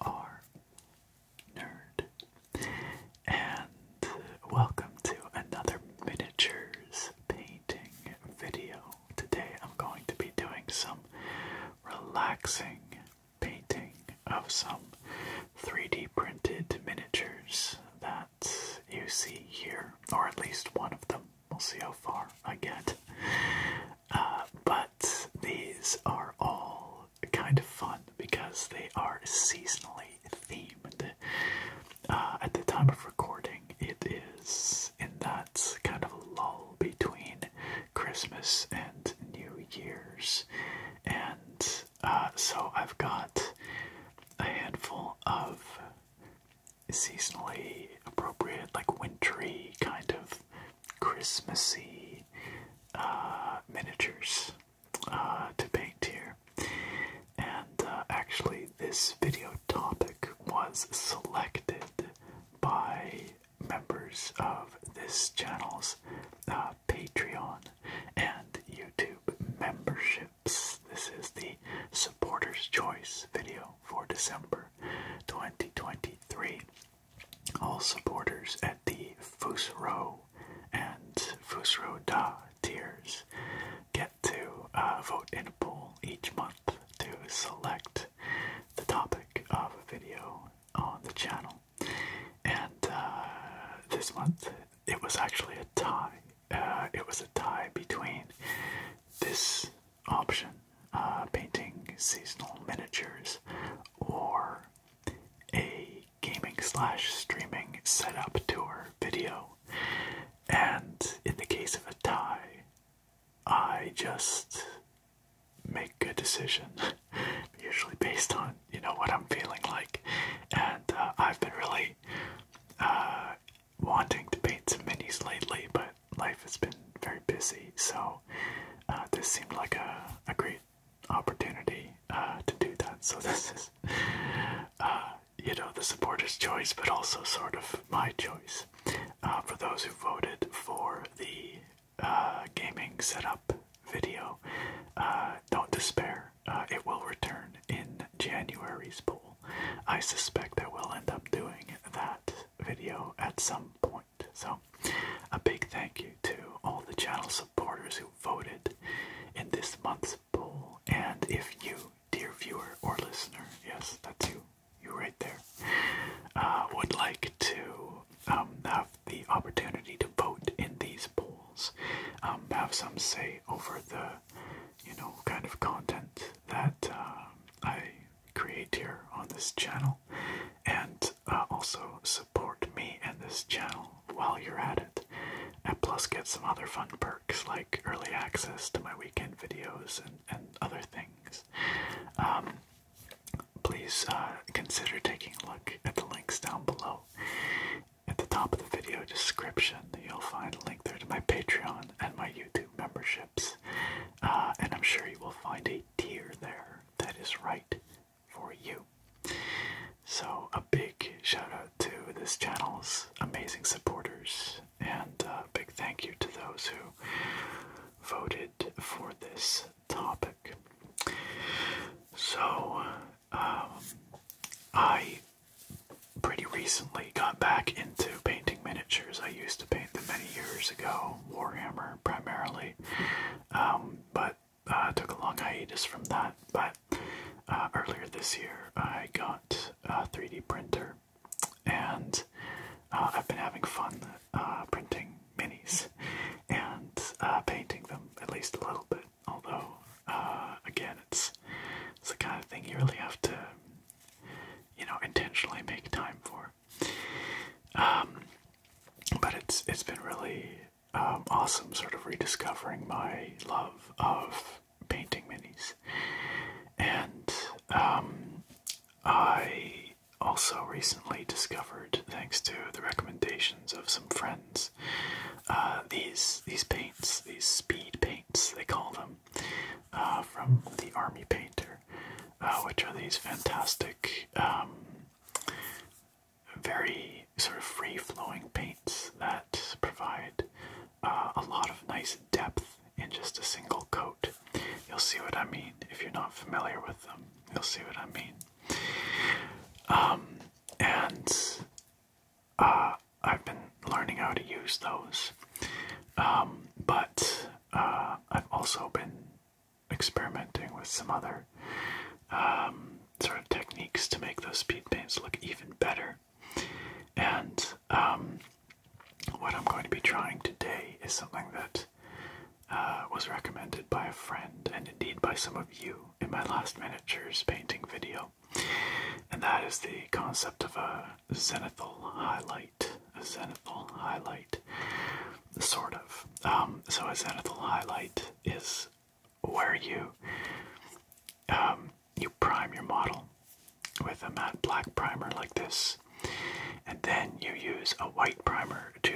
are Nerd. And welcome to another miniatures painting video. Today I'm going to be doing some relaxing painting of some 3D printed miniatures that you see here, or at least one of them. We'll see how far I get. Uh, but these are all kind of fun because they are seasonally themed. Uh, at the time of recording, it is in that kind of lull between Christmas and New Year's. And uh, so I've got a handful of seasonally appropriate, like wintry, kind of Christmassy uh, miniatures uh, to paint here. And uh, actually, this video topic was selected by members of this channel's Patreon and YouTube memberships. This is the Supporters' Choice video for December 2023. All supporters at the Fusro and Fusro Da tiers get to uh, vote in a poll each month to select the topic of a video on the channel. And uh, this month it was actually a tie. Uh, it was a tie between this option, painting seasonal miniatures, or a gaming slash streaming setup tour video, and in the case of a tie, I just make a decision, usually based on you know what I'm feeling like, and uh, I've been really uh, wanting to paint some minis lately, but life has been very busy, so uh, this seemed like a great opportunity uh, to do that. So this is, uh, you know, the supporters' choice, but also sort of my choice uh, for those who voted for the gaming setup video. don't despair; it will return in January's poll. I suspect I will end up doing that video at some point. So, a big thank you to all the channel supporters who voted in this month's poll. And if you, dear viewer or listener, yes, that's you, you right there, uh, would like to um, have the opportunity to vote in these polls, um, have some say over the, you know, kind of content that uh, I create here on this channel, and uh, also support me and this channel while you're at it, and plus get some other fun perks like early access to my weekend videos and, other things. Um, please uh, consider taking a look at the links down below. At the top of the video description, you'll find a link there to my Patreon and my YouTube memberships, uh, and I'm sure you will find a tier there that is right for you. So, a big shout out to this channel's amazing supporters, and a uh, big thank you to those who voted for this topic. So, um, I pretty recently got back into painting miniatures. I used to paint them many years ago, Warhammer primarily, um, but I uh, took a long hiatus from that, but uh, earlier this year I got a 3D printer, and uh, I've been having fun printing minis and painting them at least a little bit. Although, again, it's it's the kind of thing you really have to, you know, intentionally make time for. Um, but it's it's been really um, awesome sort of rediscovering my love of painting minis. And um, I also recently discovered, thanks to the recommendations of some friends, uh, these these paints, these speed paints they call them, uh, from the Army Painter, uh, which are these fantastic um, very sort of free flowing paints that provide uh, a lot of nice depth in just a single coat. You'll see what I mean if you're not familiar with them. You'll see what I mean. Um, and uh, I've been learning how to use those, um, but uh, I've also been experimenting with some other um, sort of techniques to make those speed paints look even better. And um, what I'm going to be trying today is something that uh, was recommended by a friend and indeed by some of you in my last miniatures painting video. And that is the concept of a zenithal highlight. A zenithal highlight. Sort of. Um, so, a zenithal highlight is where you um, you prime your model with a matte black primer like this, and then you use a white primer to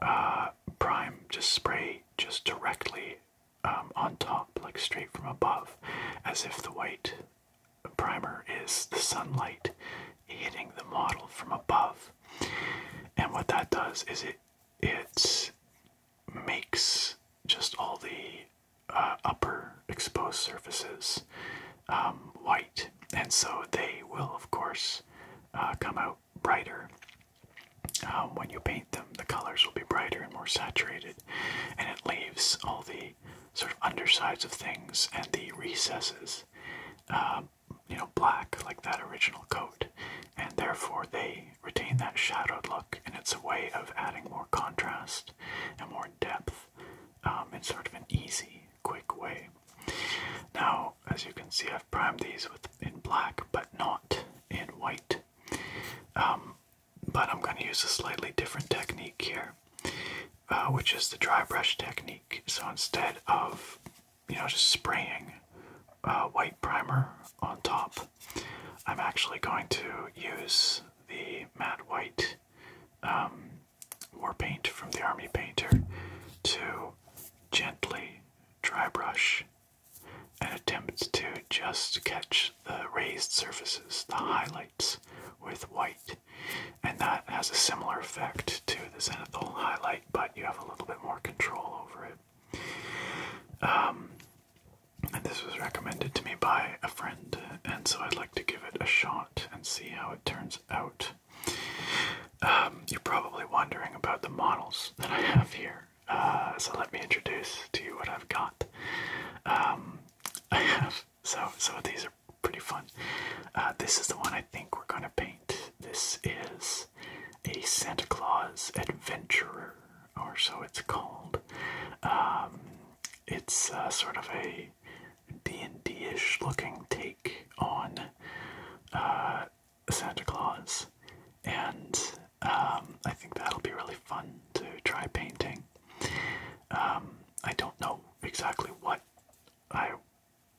uh, prime, just spray just directly um, on top, like straight from above, as if the white primer is the sunlight hitting the model from above. And what that does is it it makes just all the uh, upper exposed surfaces um, white, and so they will, of course, uh, come out brighter. Um, when you paint them, the colors will be brighter and more saturated, and it leaves all the sort of undersides of things and the recesses um, you know, black like that original coat, and therefore they retain that shadowed look, and it's a way of adding more contrast and more depth um, in sort of an easy, quick way. Now, as you can see, I've primed these with in black, but not in white. Um, but I'm going to use a slightly different technique here, uh, which is the dry brush technique. So instead of you know, just spraying uh, white primer on top. I'm actually going to use the matte white um, war paint from the Army Painter to gently dry brush and attempt to just catch the raised surfaces, the highlights with white. And that has a similar effect to the zenithal highlight, but you have a little bit more control over it. Um, and this was recommended to me by a friend, and so I'd like to give it a shot and see how it turns out. Um, you're probably wondering about the models that I have here, uh, so let me introduce to you what I've got. Um, I have so so these are pretty fun. Uh, this is the one I think we're gonna paint. This is a Santa Claus adventurer, or so it's called. Um, it's uh, sort of a D&D-ish looking take on uh, Santa Claus, and um, I think that'll be really fun to try painting. Um, I don't know exactly what I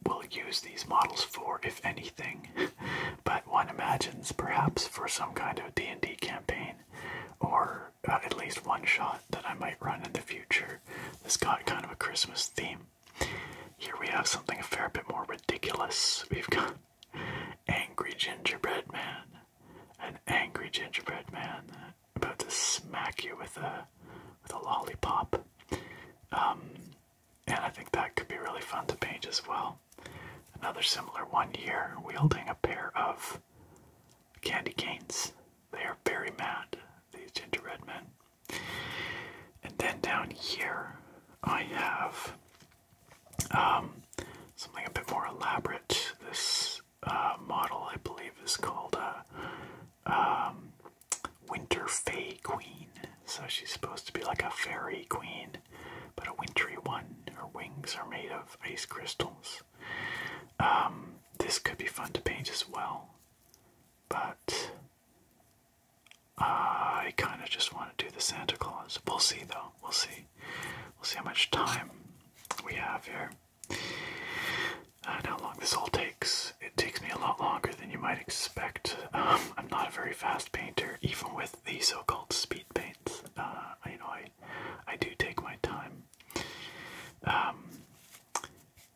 will use these models for, if anything. but one imagines perhaps for some kind of D&D campaign, or uh, at least one shot that I might run in the future. This got kind of a Christmas theme. Here we have something a fair bit more ridiculous. We've got Angry Gingerbread Man. An angry gingerbread man about to smack you with a with a lollipop. Um, and I think that could be really fun to paint as well. Another similar one here, wielding a pair of candy canes. They are very mad, these gingerbread men. And then down here, I have um, something a bit more elaborate. This uh, model, I believe, is called a um, Winter Fay Queen. So she's supposed to be like a fairy queen, but a wintry one. Her wings are made of ice crystals. Um, this could be fun to paint as well, but uh, I kind of just want to do the Santa Claus. We'll see though. We'll see. We'll see how much time we have here and how long this all takes. It takes me a lot longer than you might expect. Um, I'm not a very fast painter, even with the so-called speed paints. Uh, you know, I I do take my time, um,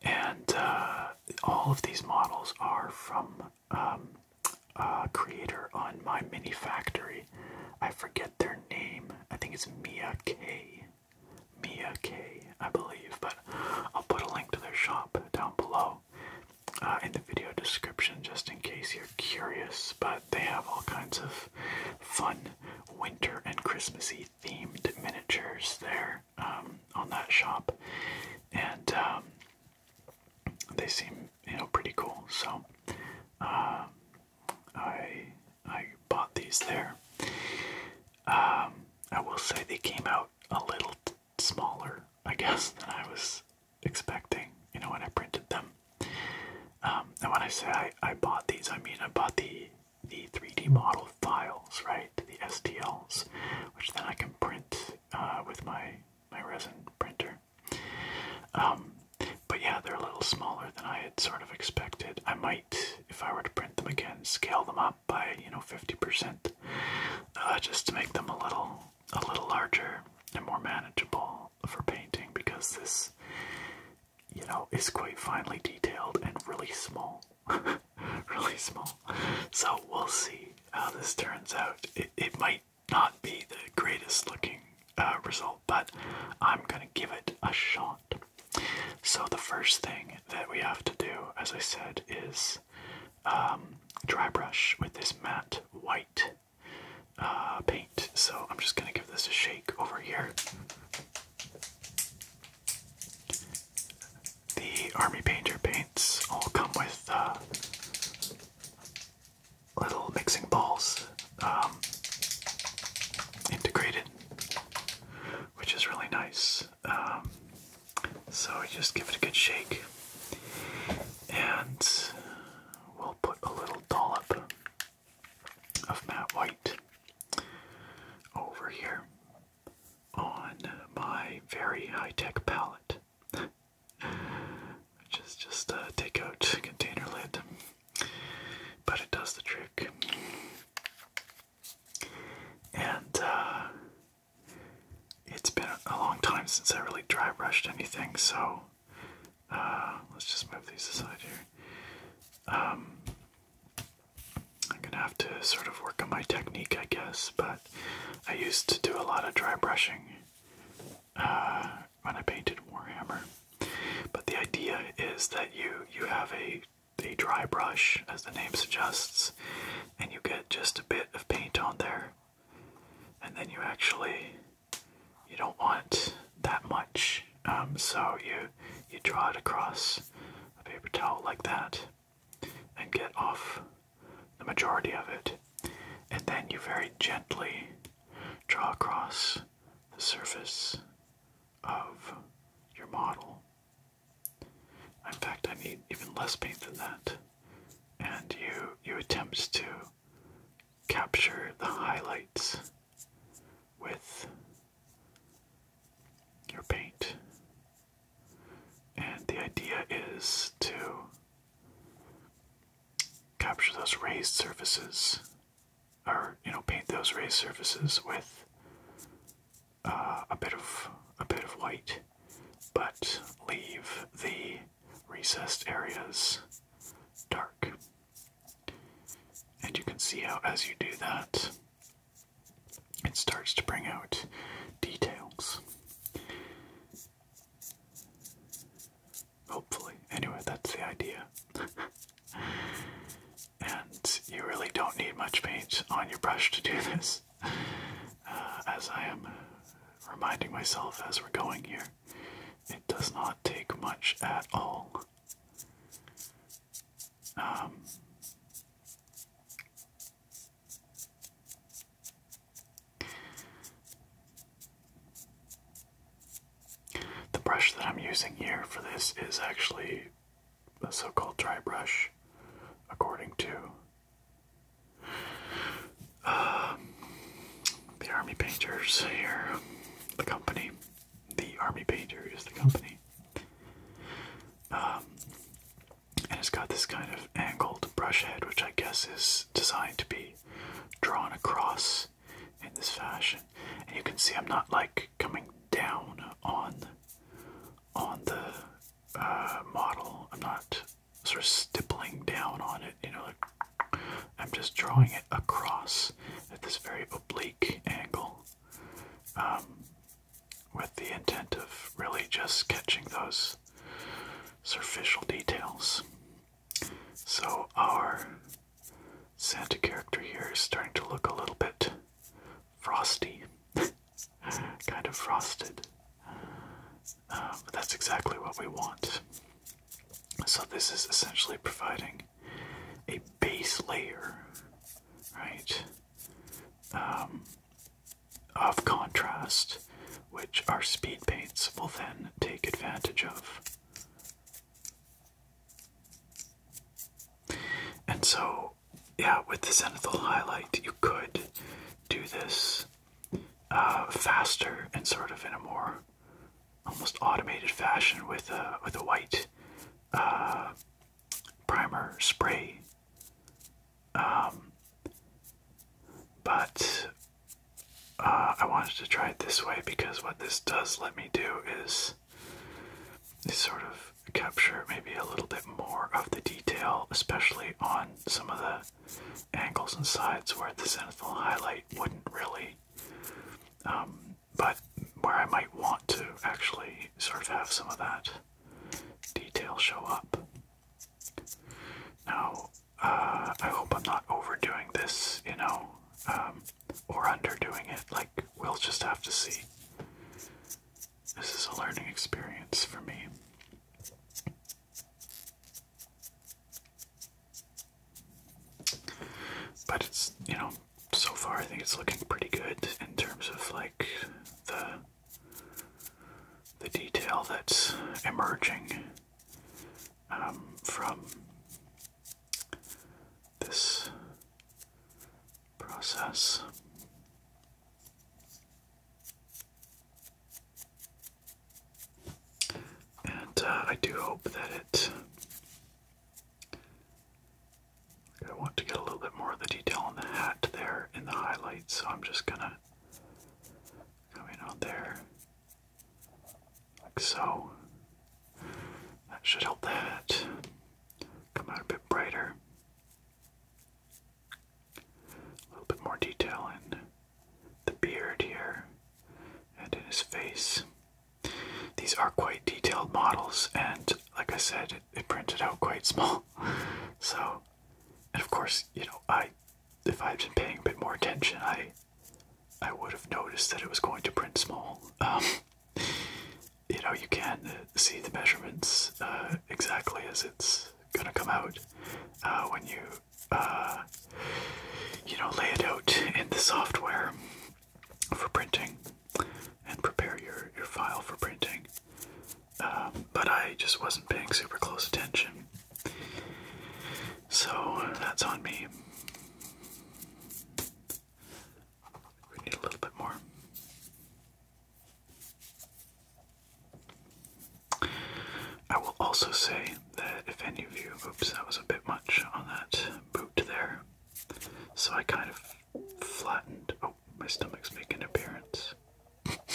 and uh, all of these models are from um, a creator on my mini factory. I forget their name. I think it's Mia K. Mia K. I believe, but I'll put a link to their shop down below. Uh, in the video description just in case you're curious. But they have all kinds of fun winter and Christmassy themed miniatures there um, on that shop, and um, they seem you know pretty cool. So uh, I I bought these there. Um, I will say they came out a little smaller, I guess, than I was expecting, you know, when I printed them. Um, and when I say I, I bought these, I mean I bought the the 3D model files, right? The STLs, which then I can print uh, with my my resin printer. Um, but yeah, they're a little smaller than I had sort of expected. I might, if I were to print them again, scale them up by you know 50%, uh, just to make them a little a little larger and more manageable for painting because this, you know, is quite finely detailed and really small. really small. So we'll see how this turns out. It, it might not be the greatest looking uh, result, but I'm gonna give it a shot. So the first thing that we have to do, as I said, is um, dry brush with this matte white uh, paint. So I'm just gonna give this a shake over here. The Army Painter paints all come with uh, little mixing balls um, integrated, which is really nice. Um, so just give it a good shake, and we'll put a little dollop of matte white over here on my very high-tech palette. which is just a uh, take out container lid, but it does the trick. And uh, it's been a long time since I really dry brushed anything, so uh, let's just move these aside here. Um, I'm gonna have to sort of work on my technique, I guess, but I used to do a lot of dry brushing uh, when I painted Warhammer. But the idea is that you you have a a dry brush, as the name suggests, and you get just a bit of paint on there, and then you actually you don't want that much, um, so you you draw it across a paper towel like that, and get off the majority of it, and then you very gently draw across the surface of your model. In fact, I need even less paint than that and you you attempt to capture the highlights with your paint. And the idea is to capture those raised surfaces, or you know, paint those raised surfaces with uh, a bit of a bit of white, but leave the recessed areas dark. And you can see how, as you do that, it starts to bring out details. Hopefully. Anyway, that's the idea. and you really don't need much paint on your brush to do this, uh, as I am reminding myself as we're going here. It does not take much at all. Um, the brush that I'm using here for this is actually a so called dry brush, according to um, the Army Painters here, the company. The Army Painter is the company. Um, and it's got this kind of angled brush head, which I guess is designed to be drawn across in this fashion. And you can see I'm not like coming down on on the uh, model. I'm not sort of stippling down on it, you know, like I'm just drawing it across at this very oblique angle um, with the intent of really just catching those superficial details. So our Santa character here is starting to look a little bit frosty, kind of frosted. Um, that's exactly what we want. So this is essentially providing a base layer, right, um, of contrast, which our speed paints will then take advantage of. And so, yeah, with the zenithal highlight, you could do this uh, faster and sort of in a more almost automated fashion with a with a white uh, primer spray. Um, but uh, I wanted to try it this way because what this does let me do is, is sort of capture maybe a little bit more of the detail, especially on some of the angles and sides where the zenithal highlight wouldn't really, um, but where I might want to actually sort of have some of that detail show up. Now, uh, I hope I'm not overdoing this, you know, um, or underdoing it. Like, we'll just have to see. This is a learning experience for me. But it's, you know, so far I think it's looking pretty good in terms of like the the detail that's emerging um, from this process. And uh, I do hope that it. I want to get a little bit more of the detail in the hat there in the highlights, so I'm just gonna come on there like so. That should help the hat come out a bit brighter. A little bit more detail in the beard here, and in his face. These are quite detailed models, and like I said, it, printed out quite small. So, and of course, you know, I, if I had been paying a bit more attention, I, I would have noticed that it was going to print small. Um, you know, you can uh, see the measurements uh, exactly as it's gonna come out uh, when you uh, you know, lay it out in the software for printing and prepare your, your file for printing. Um, but I just wasn't paying super close attention. So that's on me. We need a little bit more. I will also say that if any of you, oops, that was a bit much on that boot there, so I kind of flattened. Oh, my stomach's making appearance.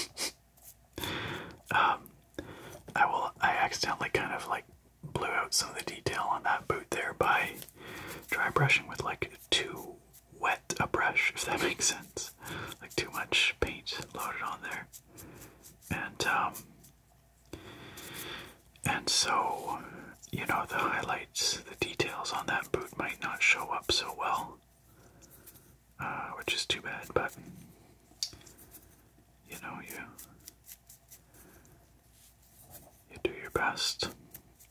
um, I will. I accidentally kind of like blew out some of the detail on that boot there by dry brushing with like too wet a brush, if that makes sense. Like too much paint loaded on there, and um, and so, you know, the highlights, the details on that boot might not show up so well, uh, which is too bad, but you know, you. You do your best.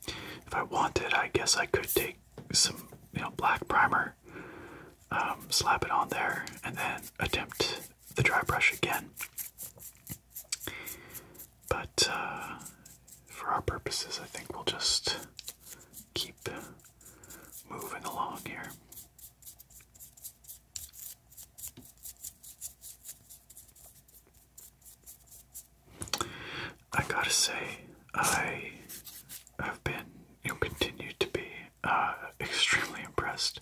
If I wanted, I guess I could take some, you know, black primer, um, slap it on there, and then attempt the dry brush again. But uh, for our purposes, I think we'll just keep moving along here. I gotta say, I have been, and continue to be uh, extremely impressed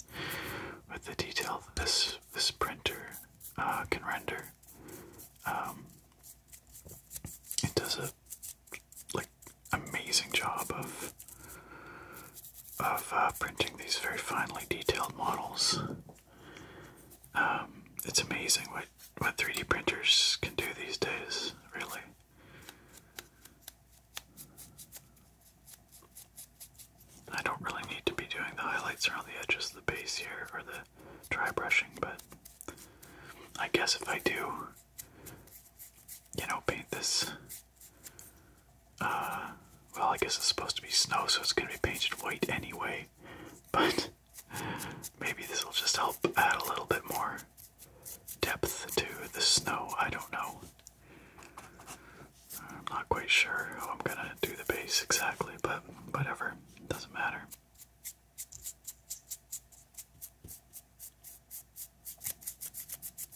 with the detail that this this printer uh, can render. Um, it does a like amazing job of of uh, printing these very finely detailed models. Um, it's amazing what what 3D printers can do these days. Really. I don't really need to be doing the highlights around the edges of the base here, or the dry brushing, but I guess if I do, you know, paint this, uh, well, I guess it's supposed to be snow, so it's going to be painted white anyway, but maybe this will just help add a little bit more depth to the snow, I don't know. I'm not quite sure how I'm gonna do the bass exactly, but whatever, it doesn't matter.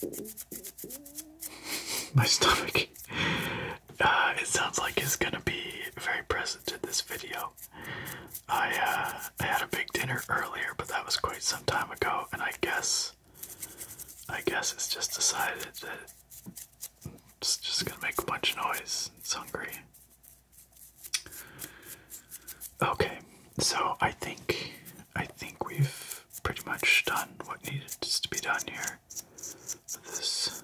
My stomach. Uh, it sounds like is gonna be very present in this video. I uh, I had a big dinner earlier, but that was quite some time ago, and I guess I guess it's just decided that it's just gonna make a bunch of noise. It's hungry. Okay, so I think I think we've pretty much done what needed to be done here with this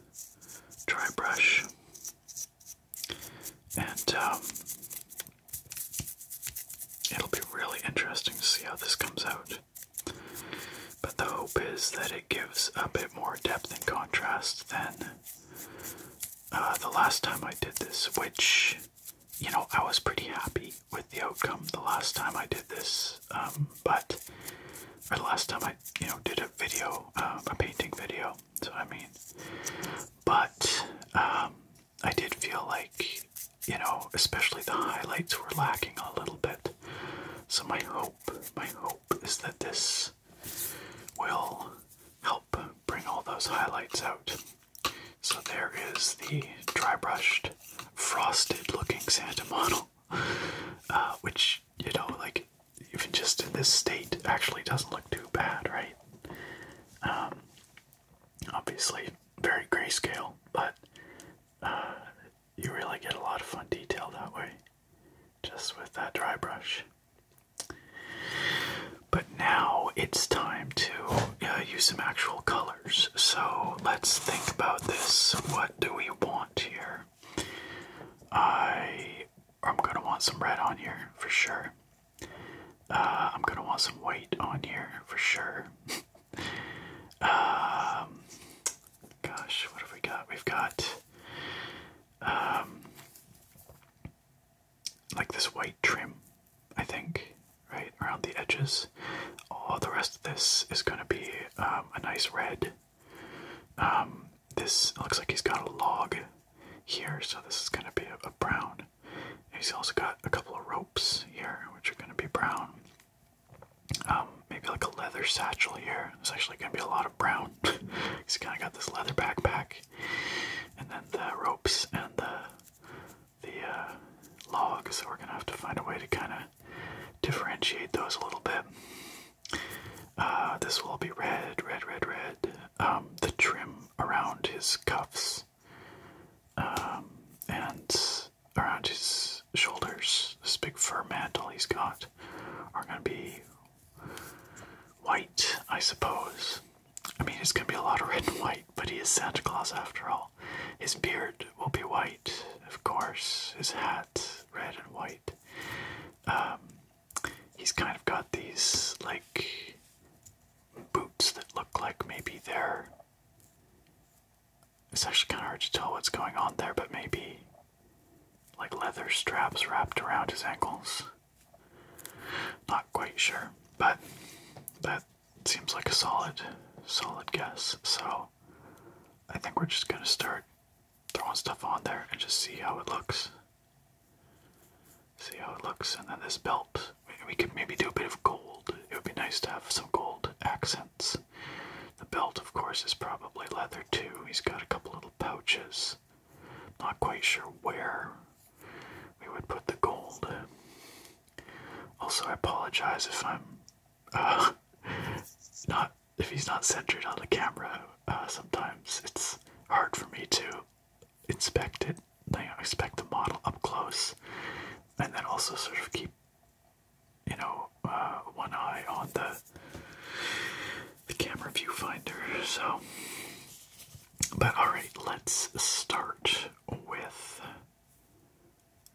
dry brush. And um, it'll be really interesting to see how this comes out. But the hope is that it gives a bit more depth and contrast than uh, the last time I did this, which, you know, I was pretty happy with the outcome the last time I did this. Um, but, or the last time I, you know, did a video, uh, a painting video, so I mean. But, um, I did feel like you know, especially the highlights were lacking a little bit. So my hope, my hope is that this will help bring all those highlights out. So there is the dry brushed, frosted looking Santa model, uh, which, you know, like even just in this state actually doesn't look too bad, right? Um, obviously, very grayscale, but uh, you really get a lot of fun detail that way, just with that dry brush. But now it's time to uh, use some actual colors. So let's think about this. What do we want here? I I'm gonna want some red on here for sure. Uh, I'm gonna want some white on here for sure. Um, gosh, what have we got? We've got um, like this white trim, I think, right around the edges. All the rest of this is going to be um, a nice red. Um, this looks like he's got a log here, so this is going to be a, a brown. He's also got a couple of ropes here, which are going to be brown. Um, maybe like a leather satchel here. There's actually gonna be a lot of brown. He's kind of got this leather backpack, and then the ropes and the the uh, logs. So we're gonna have to find a way to kind of differentiate those a little bit. Uh, this will be red, red, red, red. Um, the trim around his cuffs, um, and around his shoulders, this big fur mantle he's got, are gonna be white, I suppose. I mean, it's gonna be a lot of red and white, but he is Santa Claus after all. His beard will be white, of course. His hat, red and white. Um, he's kind of got these like boots that look like maybe they're it's actually kind of hard to tell what's going on there, but maybe like leather straps wrapped around his ankles. Not quite sure, but that seems like a solid, solid guess. So I think we're just gonna start throwing stuff on there and just see how it looks. See how it looks, and then this belt. We could maybe do a bit of gold. It would be nice to have some gold accents. The belt, of course, is probably leather too. He's got a couple little pouches. Not quite sure where we would put the gold. Also, I apologize if I'm uh, not if he's not centered on the camera. Uh, sometimes it's hard for me to inspect it. I expect the model up close, and then also sort of keep you know, uh, one eye on the the camera viewfinder. So, but all right, let's start with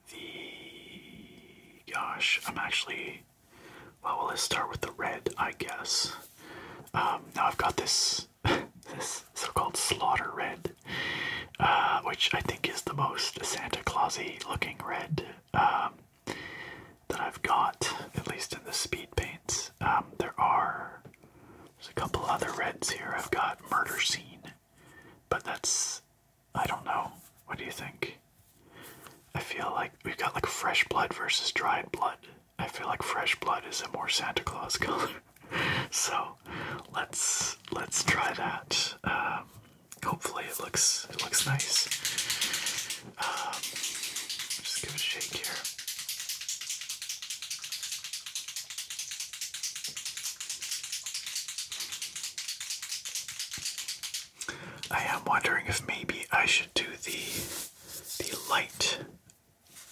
the. Gosh, I'm actually. Well, let's start with the red, I guess. Um, now I've got this this so-called slaughter red, uh, which I think is the most Santa Clausy looking red um, that I've got, at least in the speed paints. Um, there are there's a couple other reds here. I've got Murder Scene, but that's I don't know. What do you think? I feel like we've got like fresh blood versus dried blood. I feel like fresh blood is a more Santa Claus color. so let's let's try that. Um, hopefully it looks it looks nice. Um, just give it a shake here. I am wondering if maybe I should do the the light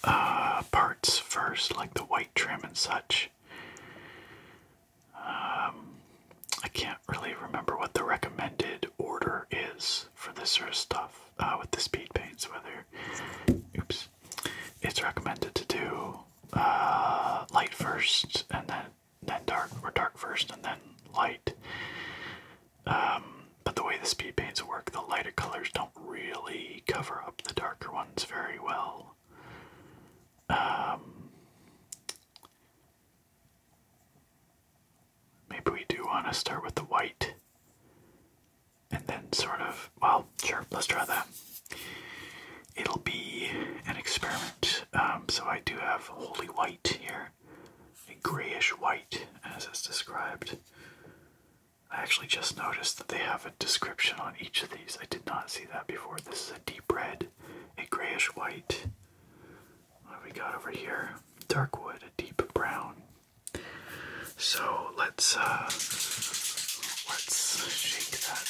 uh, parts first, like the white trim and such. Um, I can't really remember what the recommended order is for this sort of stuff uh, with the speed paints. Whether, oops, it's recommended to do uh, light first and then then dark, or dark first and then light. Um, but the way the speed paints work, the lighter colors don't really cover up the darker ones very well. Um, Maybe we do want to start with the white. And then sort of, well, sure, let's try that. It'll be an experiment. Um, so I do have holy white here, a grayish white as it's described. I actually just noticed that they have a description on each of these. I did not see that before. This is a deep red, a grayish white. What have we got over here? Dark wood, a deep brown. So let's uh, let's shake that.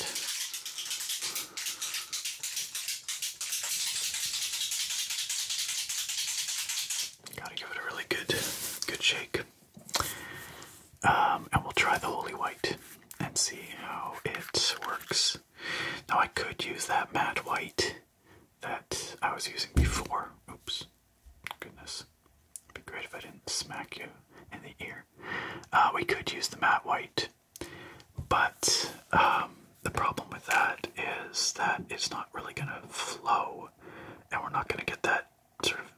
Gotta give it a really good, good shake, um, and we'll try the holy white and see how it works. Now I could use that matte white that I was using before. Oops. Goodness. It'd be great if I didn't smack you in the ear. Uh, we could use the matte white, but um, the problem with that is that it's not really going to flow, and we're not going to get that sort of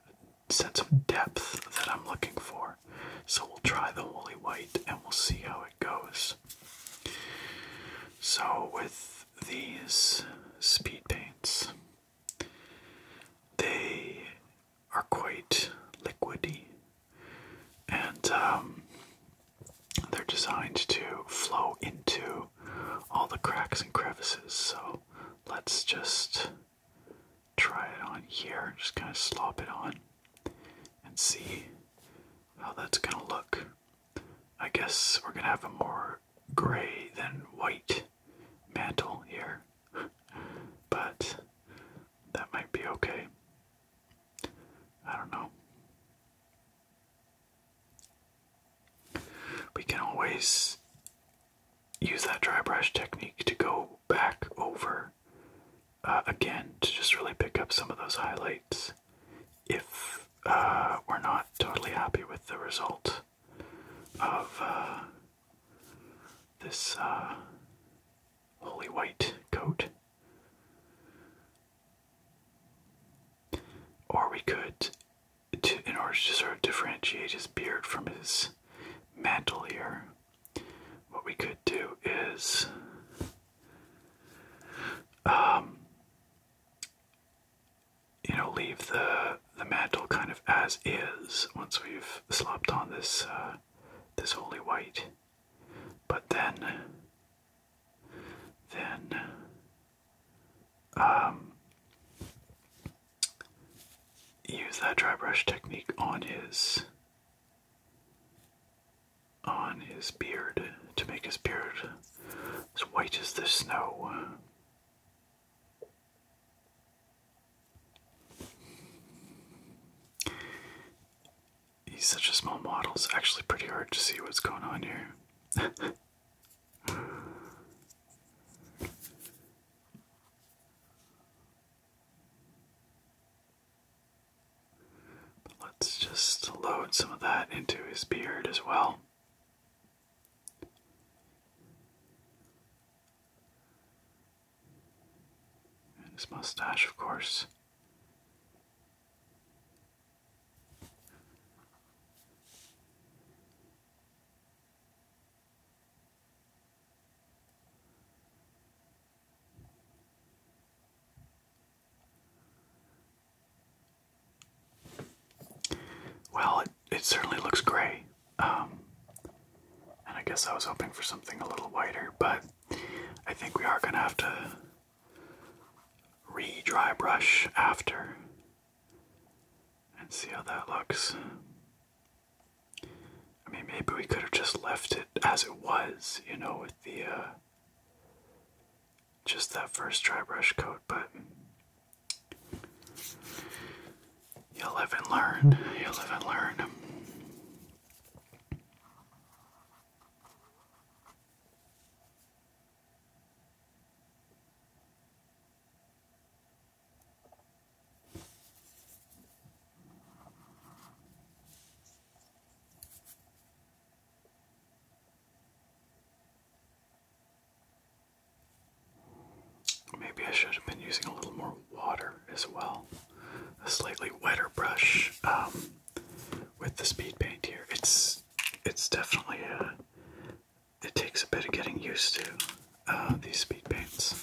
sense of depth that I'm looking for. So we'll try the holy white and we'll see how it goes. So, with these speed paints, they are quite liquidy and um, they're designed to flow into all the cracks and crevices. So, let's just try it on here, just kind of slop it on and see how that's gonna look. I guess we're gonna have a more gray than white mantle here, but that might be okay. I don't know. We can always use that dry brush technique to go back over uh, again to just really pick up some of those highlights if uh, we're not totally happy with the result of uh, this holy white coat. Or we could, in order to sort of differentiate his beard from his mantle here, what we could do is um, you know, leave the the mantle kind of as is once we've slopped on this uh, this holy white, but then then um, use that dry brush technique on his on his beard to make his beard as white as the snow. He's such a small model, it's actually pretty hard to see what's going on here let's just load some of that into his beard as well. And his mustache, of course. Well, it, it certainly looks gray. Um, and I guess I was hoping for something a little whiter, but I think we are going to have to re dry brush after and see how that looks. I mean, maybe we could have just left it as it was, you know, with the. Uh, just that first dry brush coat, but you will and learn. You will and learn. Maybe I should have been using a little more water as well. A slightly wetter brush um, with the speed paint here. It's it's definitely a uh, it takes a bit of getting used to uh, these speed paints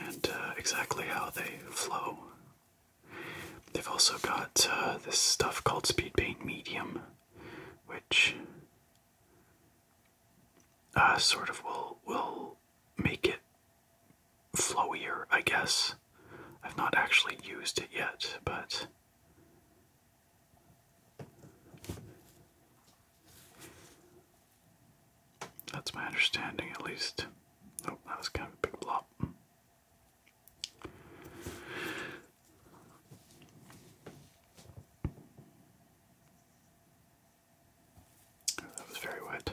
and uh, exactly how they flow They've also got uh, this stuff called Speed Paint Medium, which uh, sort of will will make it flowier, I guess. I've not actually used it yet, but. That's my understanding, at least. Oh, that was kind of a big blop. That was very wet.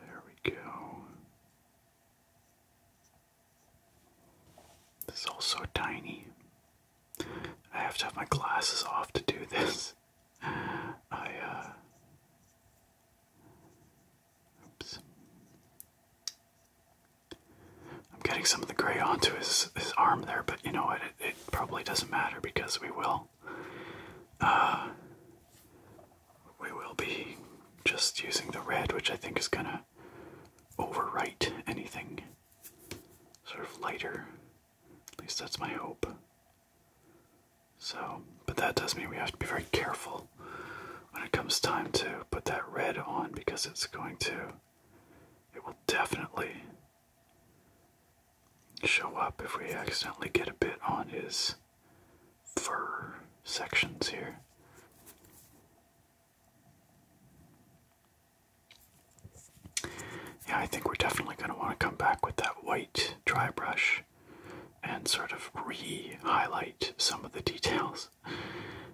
There we go. This is all so tiny. I have to have my glasses off to do this. I, uh, Oops. I'm getting some of the gray onto his, his arm there, but you know what? it probably doesn't matter because we will channel. Uh, we will be just using the red, which I think is gonna overwrite anything sort of lighter. At least that's my hope. So, but that does mean we have to be very careful when it comes time to put that red on because it's going to, it will definitely show up if we accidentally get a bit on his fur sections here. Yeah, I think we're definitely going to want to come back with that white dry brush and sort of re-highlight some of the details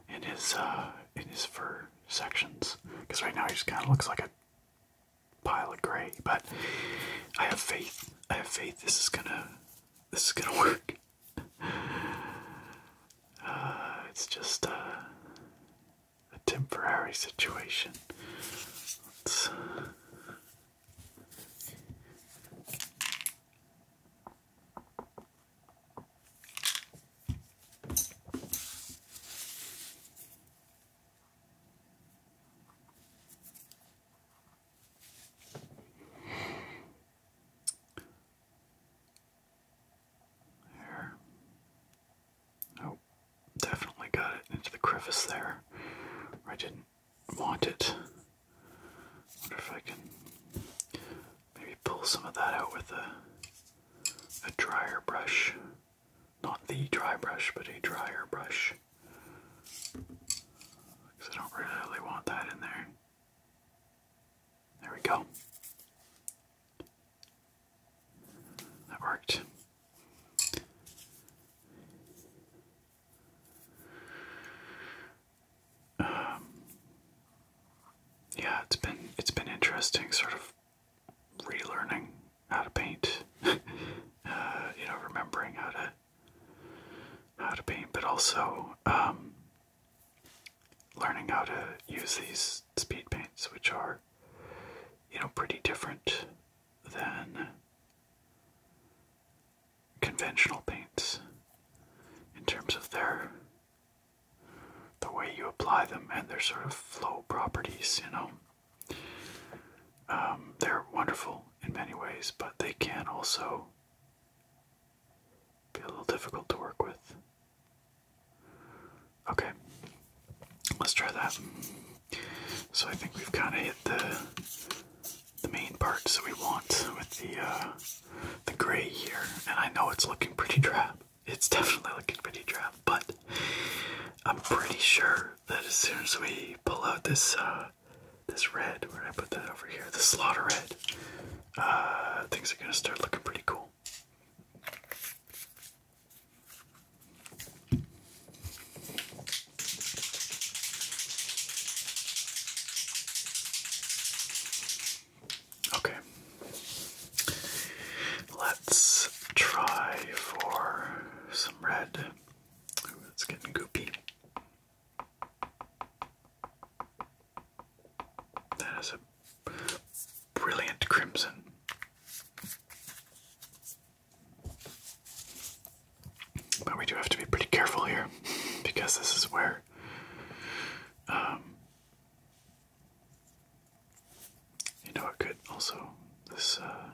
in his uh, in his fur sections. Because right now he just kind of looks like a pile of gray, but I have faith. I have faith this is gonna this is gonna work. Uh, it's just uh, a temporary situation. There. Oh, definitely got it into the crevice there. I didn't want it. Wonder if I can maybe pull some of that out with a a dryer brush. Not the dry brush, but a drier brush. Because I don't really want that in there. There we go. That worked. Um, yeah, it's been it's been interesting, sort of relearning how to paint, uh, you know, remembering how to how to paint, but also um, learning how to use these speed paints, which are you know pretty different than conventional paints in terms of their the way you apply them and their sort of flow properties, you know. Um, they're wonderful in many ways, but they can also be a little difficult to work with. Okay, let's try that. So I think we've kind of hit the the main parts that we want with the uh, the gray here, and I know it's looking pretty drab. It's definitely looking pretty drab, but I'm pretty sure that as soon as we pull out this uh, this red, we're gonna put that over here, the slaughter red, uh, things are gonna start looking pretty cool. Okay, let's try for some red it's getting goopy. That is a brilliant crimson. But we do have to be pretty careful here because this is where um, you know it could also this uh,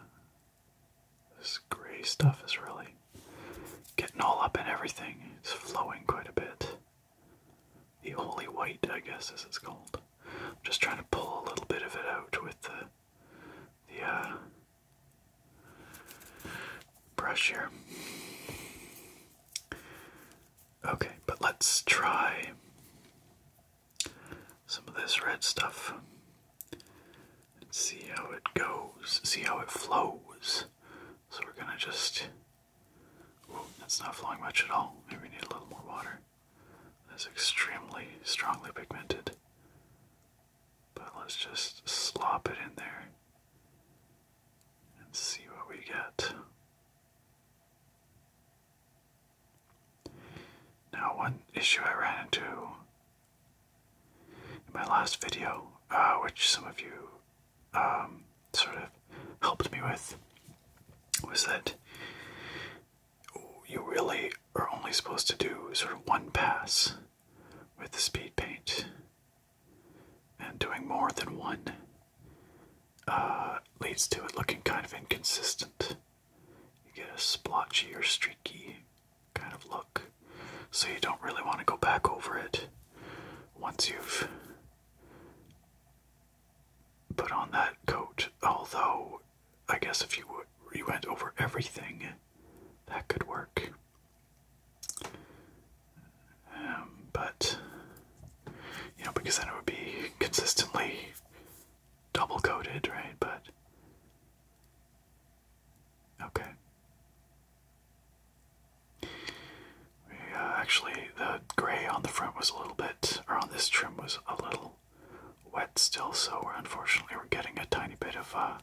this gray stuff is really getting all up in everything. It's flowing quite a bit. The only white, I guess, as it's called. I'm just trying to pull a little bit of it out with the the uh, brush here. Okay, but let's try some of this red stuff Let's see how it goes, see how it flows. So we're gonna just. Whoa, that's not flowing much at all. Maybe we need a little more water. That's extremely strongly pigmented. But let's just slop it in there and see what we get. Now, one issue I ran into in my last video, uh, which some of you um, sort of helped me with, was that you really are only supposed to do sort of one pass with the speed paint, and doing more than one uh, leads to it looking kind of inconsistent you get a splotchy or streaky kind of look. So you don't really want to go back over it once you've put on that coat. Although, I guess if you, you went over everything, that could work. Um, but, you know, because then it would be consistently double coated, right? But Okay. actually, the gray on the front was a little bit, or on this trim was a little wet still, so we're unfortunately we're getting a tiny bit of uh,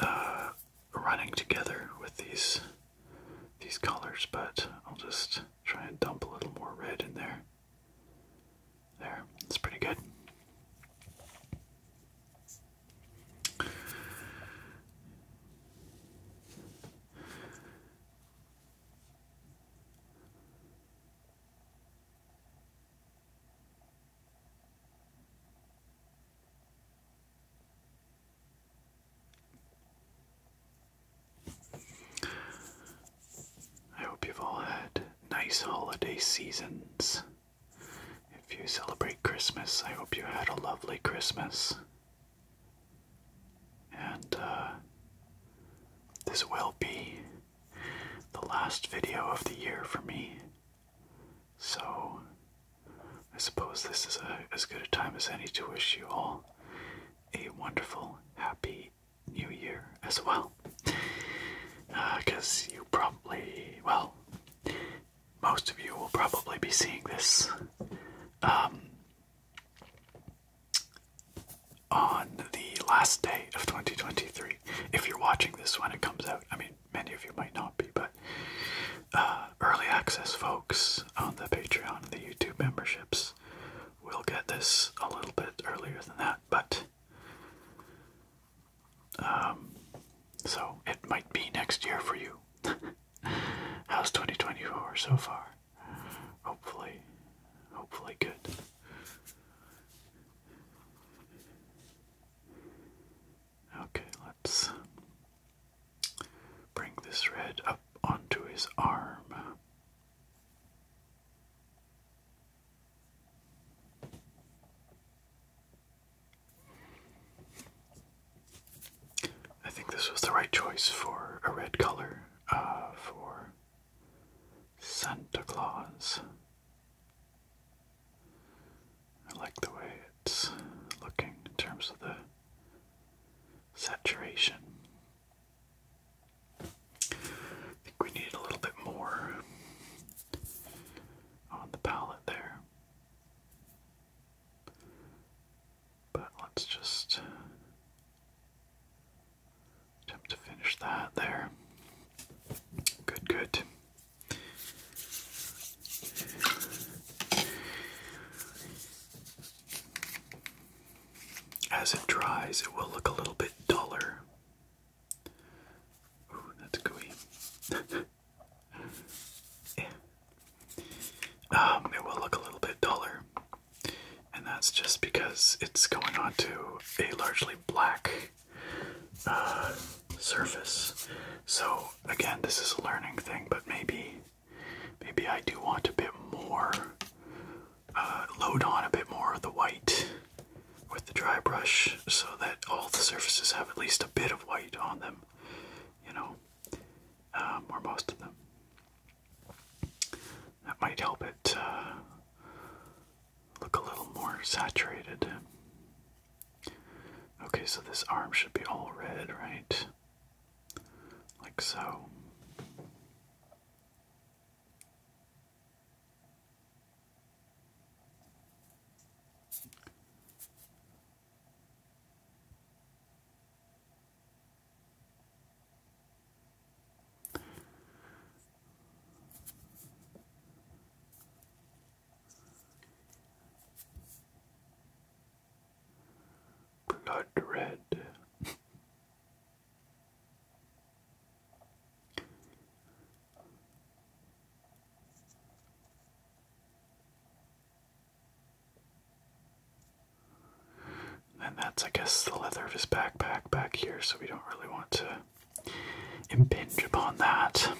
uh, running together with these these colors. But I'll just try and dump a little more red in there. There, it's pretty good. I hope you've all had nice holiday seasons. If you celebrate Christmas, I hope you had a lovely Christmas. And uh, this will be the last video of the year for me. So I suppose this is as good a time as any to wish you all a wonderful, happy, new year as well. Because uh, you probably, well, most of you will probably be seeing this um, on the last day of 2023. If you're watching this when it comes out, I mean, many of you might not be, but uh, early access folks on the Patreon and the YouTube memberships will get this a little bit earlier than that, but um, so it might be next year for you. How's 2024 so far? Hopefully, hopefully good. Okay, let's bring this red up onto his arm. I think this was the right choice for a red color uh, for Santa Claus. I like the way it's looking in terms of the saturation. I think we need a little bit more on the palette there. But let's just attempt to finish that there. Good, good. As it dries, it will look a little bit duller. Ooh, that's gooey. yeah. Um, it will look a little bit duller, and that's just because it's going onto a largely black uh, surface. So again, this is a learning thing, but maybe, maybe I do want a bit more uh, load on a bit more of the white with the dry brush so that all the surfaces have at least a bit of white on them, you know, um, or most of them. That might help it uh, look a little more saturated. Okay, so this arm should be all red, right? Like so. Blood red. And that's, I guess, the leather of his backpack back here, so we don't really want to impinge upon that.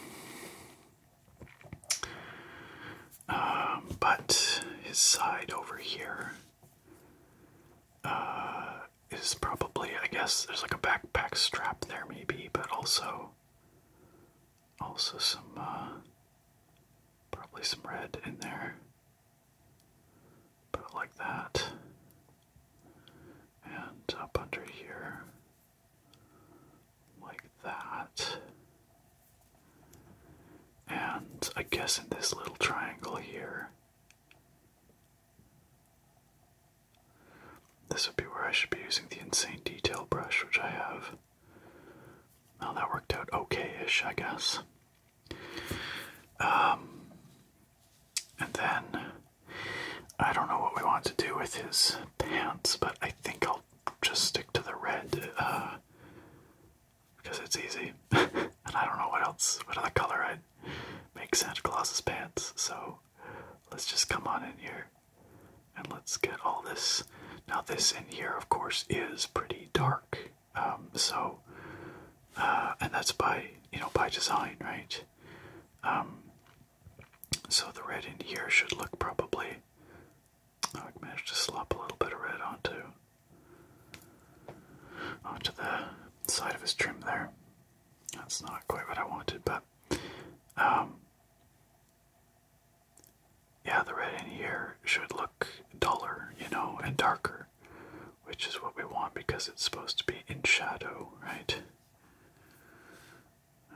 Um, but his side over here uh, is probably, I guess, there's like a backpack strap there, maybe, but also, also some, uh, probably some red in there. But like that. And up under here, like that. And I guess in this little triangle here, this would be where I should be using the insane detail brush, which I have. Well, that worked out okay-ish, I guess. Um, and then I don't know what we want to do with his pants, but I think I'll just stick to the red because uh, it's easy, and I don't know what else, what other color I'd make Santa Claus's pants. So let's just come on in here and let's get all this. Now, this in here, of course, is pretty dark. Um, so, uh, and that's by, you know, by design, right? Um, so the red in here should look probably. Oh, I managed to slop a little bit of red onto onto the side of his trim there. That's not quite what I wanted, but um, yeah, the red in here should look duller, you know, and darker, which is what we want because it's supposed to be in shadow, right?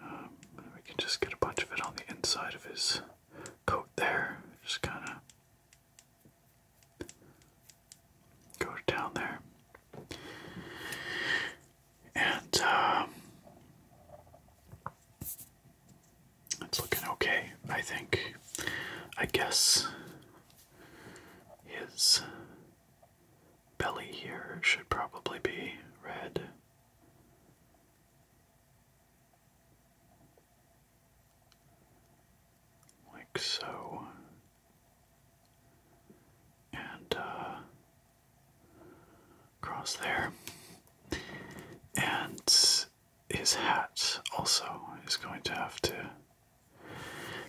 Um, we can just get a bunch of it on the inside of his coat there. Just kind of go down there. And um, it's looking okay, I think. I guess his belly here should probably be red. Like so and across uh, there. And his hat also is going to have to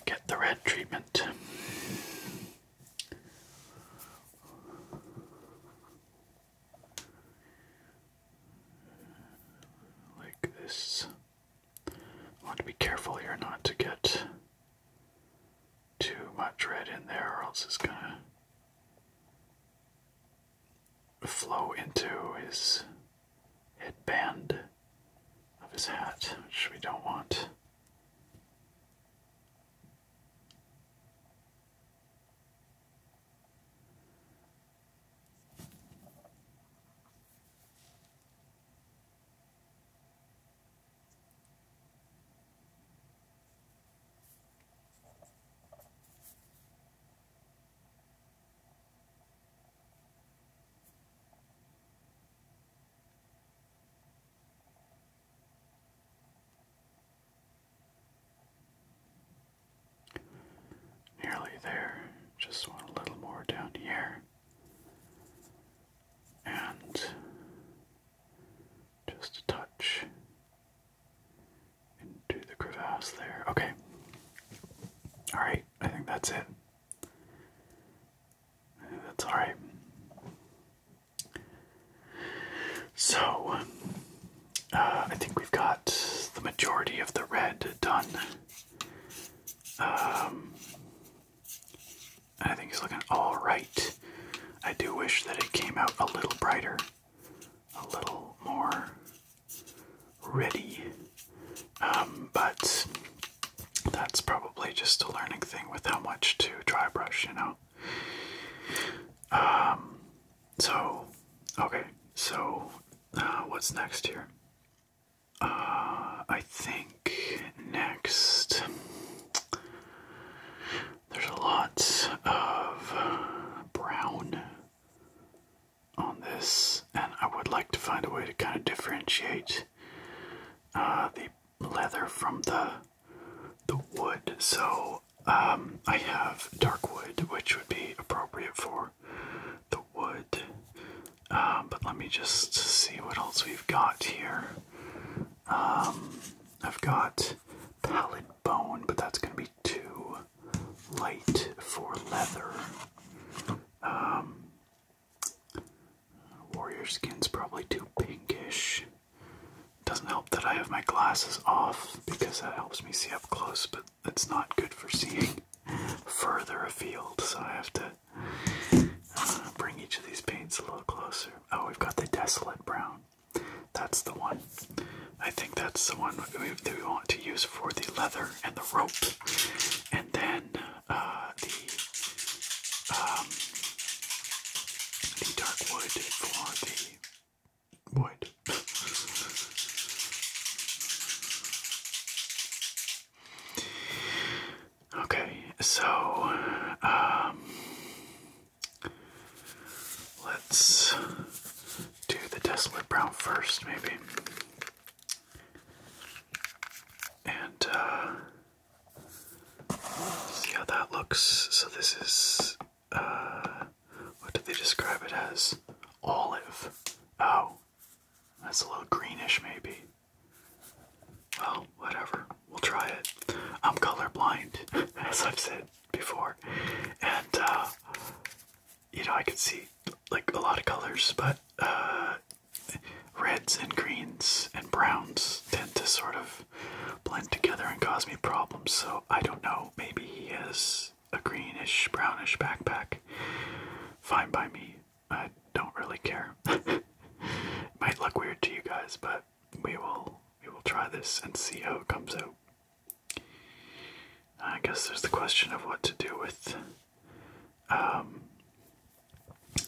get the red treatment. Like this. want to be careful here not to get too much red in there, or else it's gonna flow into his headband of his hat, which we don't want. Nearly there, just want a little more down here. And just a touch into the crevasse there. Okay. Alright, I think that's it. That's alright. So, uh, I think we've got the majority of the red done. Um, I think it's looking all right. I do wish that it came out a little brighter, a little more ready. Um, but that's probably just a learning thing with how much to dry brush, you know. Um, so, okay, so uh, what's next here? Uh, I think next, there's a lot of brown on this, and I would like to find a way to kind of differentiate uh, the leather from the the wood. So um, I have dark wood, which would be appropriate for the wood. Uh, but let me just see what else we've got here. Um, I've got pallet bone, but that's going to be too light for leather. Um, warrior skin's probably too pinkish. Doesn't help that I have my glasses off because that helps me see up close, but it's not good for seeing further afield, so I have to uh, bring each of these paints a little closer. Oh, we've got the desolate brown. That's the one. I think that's the one we, want to use for the leather and the rope. And then uh, um, the dark wood for the wood. Okay, so um, let's do the desolate brown first, maybe. And uh, see how that looks. So, this is uh, what did they describe it as? Olive. Oh, that's a little greenish, maybe. Well, whatever. We'll try it. I'm colorblind, as I've said before, and uh, you know I can see like a lot of colors, but uh, reds and greens and browns tend to sort of blend together and cause me problems. So I don't know. Maybe he has a greenish, brownish backpack. Fine by me. I don't really care. it might look weird to you guys, but we will we will try this and see how it comes out. I guess there's the question of what to do with um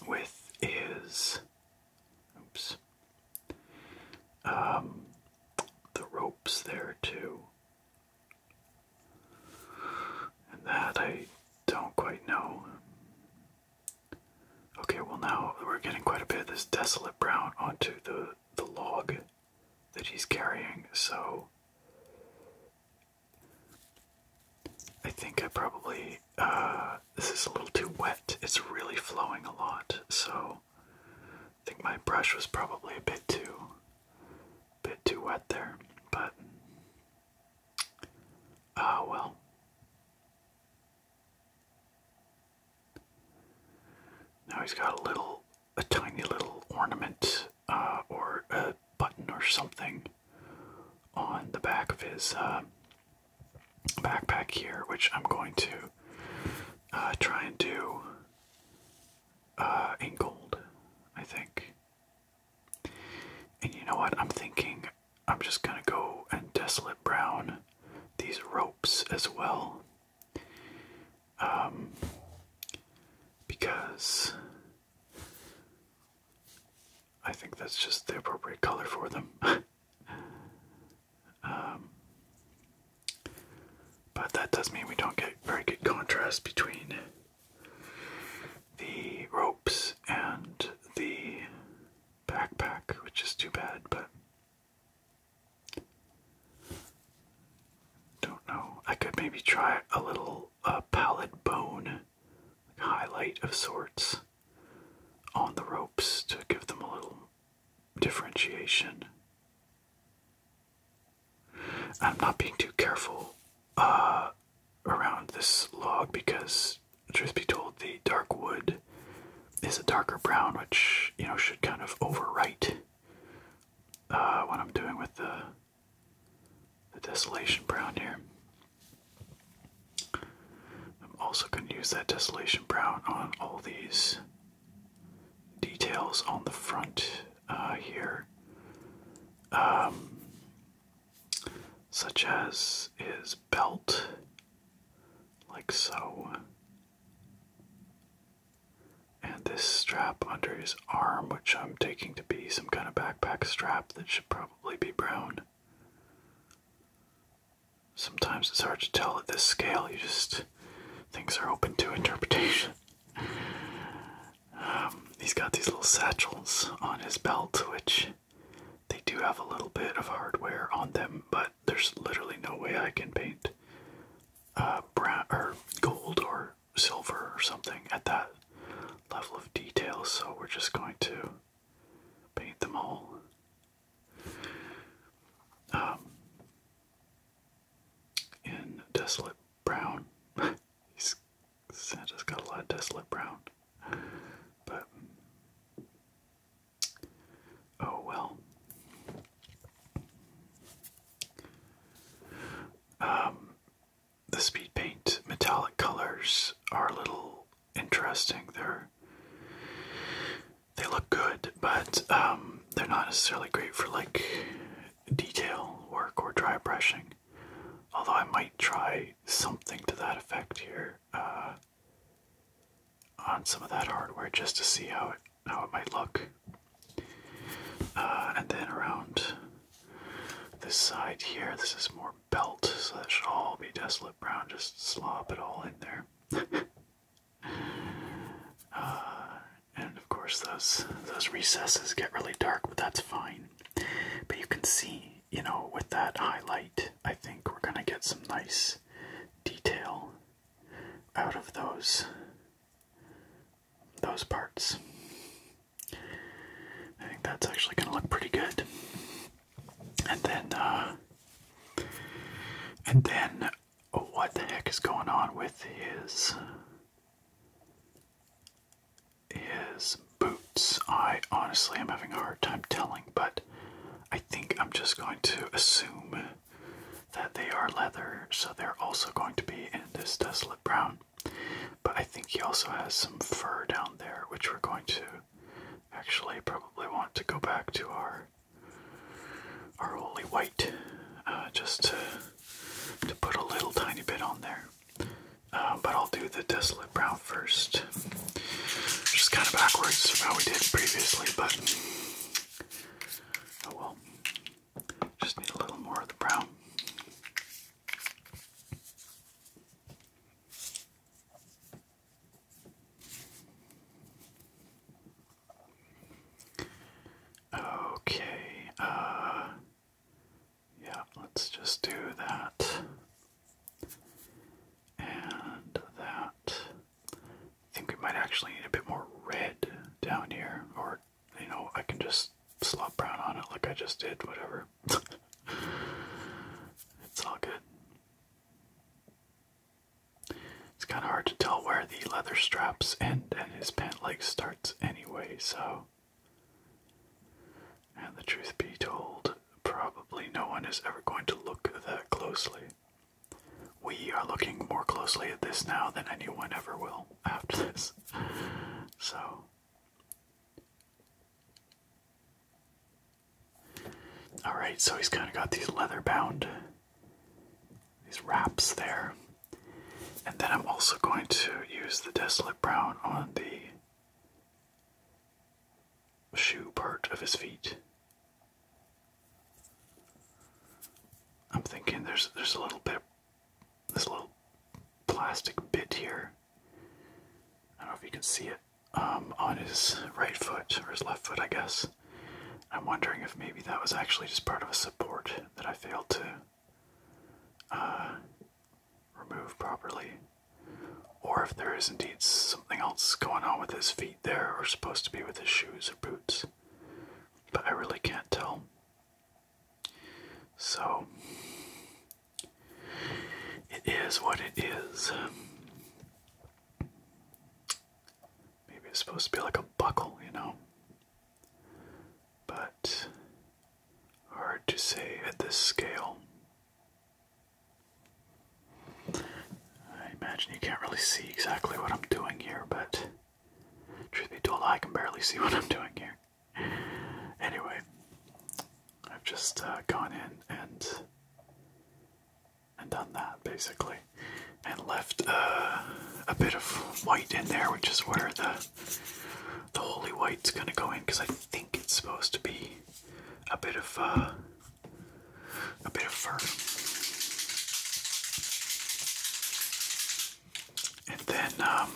with is oops um the ropes there too. And that I don't quite know. Okay, well now we're getting quite a bit of this desolate brown onto the the log that he's carrying, so I think I probably uh, this is a little too wet. It's really flowing a lot, so I think my brush was probably a bit too bit too wet there, but ah well. Now he's got a little, a tiny little ornament uh, or a button or something on the back of his uh, backpack here, which I'm going to uh, try and do uh, in gold, I think. And you know what? I'm thinking I'm just gonna go and desolate brown these ropes as well. Um, because I think that's just the appropriate color for them. Um, but that does mean we don't get very good contrast between the ropes and the backpack, which is too bad, but don't know. I could maybe try a little uh, palette bone highlight of sorts on the ropes to give them a little differentiation. I'm not being too careful uh, around this log because truth be told, the dark wood is a darker brown, which you know should kind of overwrite uh, what I'm doing with the the desolation brown here. I'm also going to use that desolation brown on all these details on the front uh, here, um, such as his belt like so. And this strap under his arm, which I'm taking to be some kind of backpack strap that should probably be brown. Sometimes it's hard to tell at this scale, you just. things are open to interpretation. Um, he's got these little satchels on his belt, which they do have a little bit of hardware on them, but there's literally no way I can paint uh, brown or gold or silver or something at that level of detail, so we're just going to paint them all. Um, in desolate brown. He's, Santa's got a lot of desolate brown, but Oh well. Um, the speed paint metallic colors are a little interesting. They're they look good, but um, they're not necessarily great for like detail work or dry brushing. Although I might try something to that effect here. Uh, on some of that hardware just to see how it how it might look. Uh, and then around this side here, this is more belt, so that should all be desolate brown. Just slop it all in there. Uh, and of course, those those recesses get really dark, but that's fine. But you can see, you know, with that highlight, I think we're gonna get some nice detail out of those those parts. I think that's actually going to look pretty good. And then, uh, and then, what the heck is going on with his his boots? I honestly am having a hard time telling, but I think I'm just going to assume that they are leather, so they're also going to be in this desolate brown. But I think he also has some fur down there, which we're going to actually probably want to go back to our our only white, uh, just to put a little tiny bit on there. Uh, but I'll do the desolate brown first. Just kind of backwards from how we did previously, but oh well. Just need a little more of the brown. Okay, uh, yeah, let's just do that and that. I think we might actually need a bit more red down here, or you know, I can just slop brown on it like I just did, whatever. it's all good. It's kind of hard to tell where the leather straps end and his pant leg starts anyway, so. And the truth be told, probably no one is ever going to look that closely. We are looking more closely at this now than anyone ever will after this. So. Alright, so he's kind of got these leather bound, these wraps there. And then I'm also going to use the Desolate Brown on the shoe part of his feet. I'm thinking there's there's a little bit of this little plastic bit here. I don't know if you can see it um, on his right foot or his left foot, I guess. I'm wondering if maybe that was actually just part of a support that I failed to uh, remove properly, or if there is indeed something else going on with his feet there are supposed to be with his shoes or boots, but I really can't tell. So, it is what it is. Maybe it's supposed to be like a buckle, you know? But hard to say at this scale. I imagine you can't really see exactly what I'm doing here, but truth be told, I can barely see what I'm doing here. Anyway, I've just uh, gone in and and done that basically, and left uh, a bit of white in there, which is where the the holy white's gonna go in, because I think it's supposed to be a bit of. Uh, a bit of fur. And then um,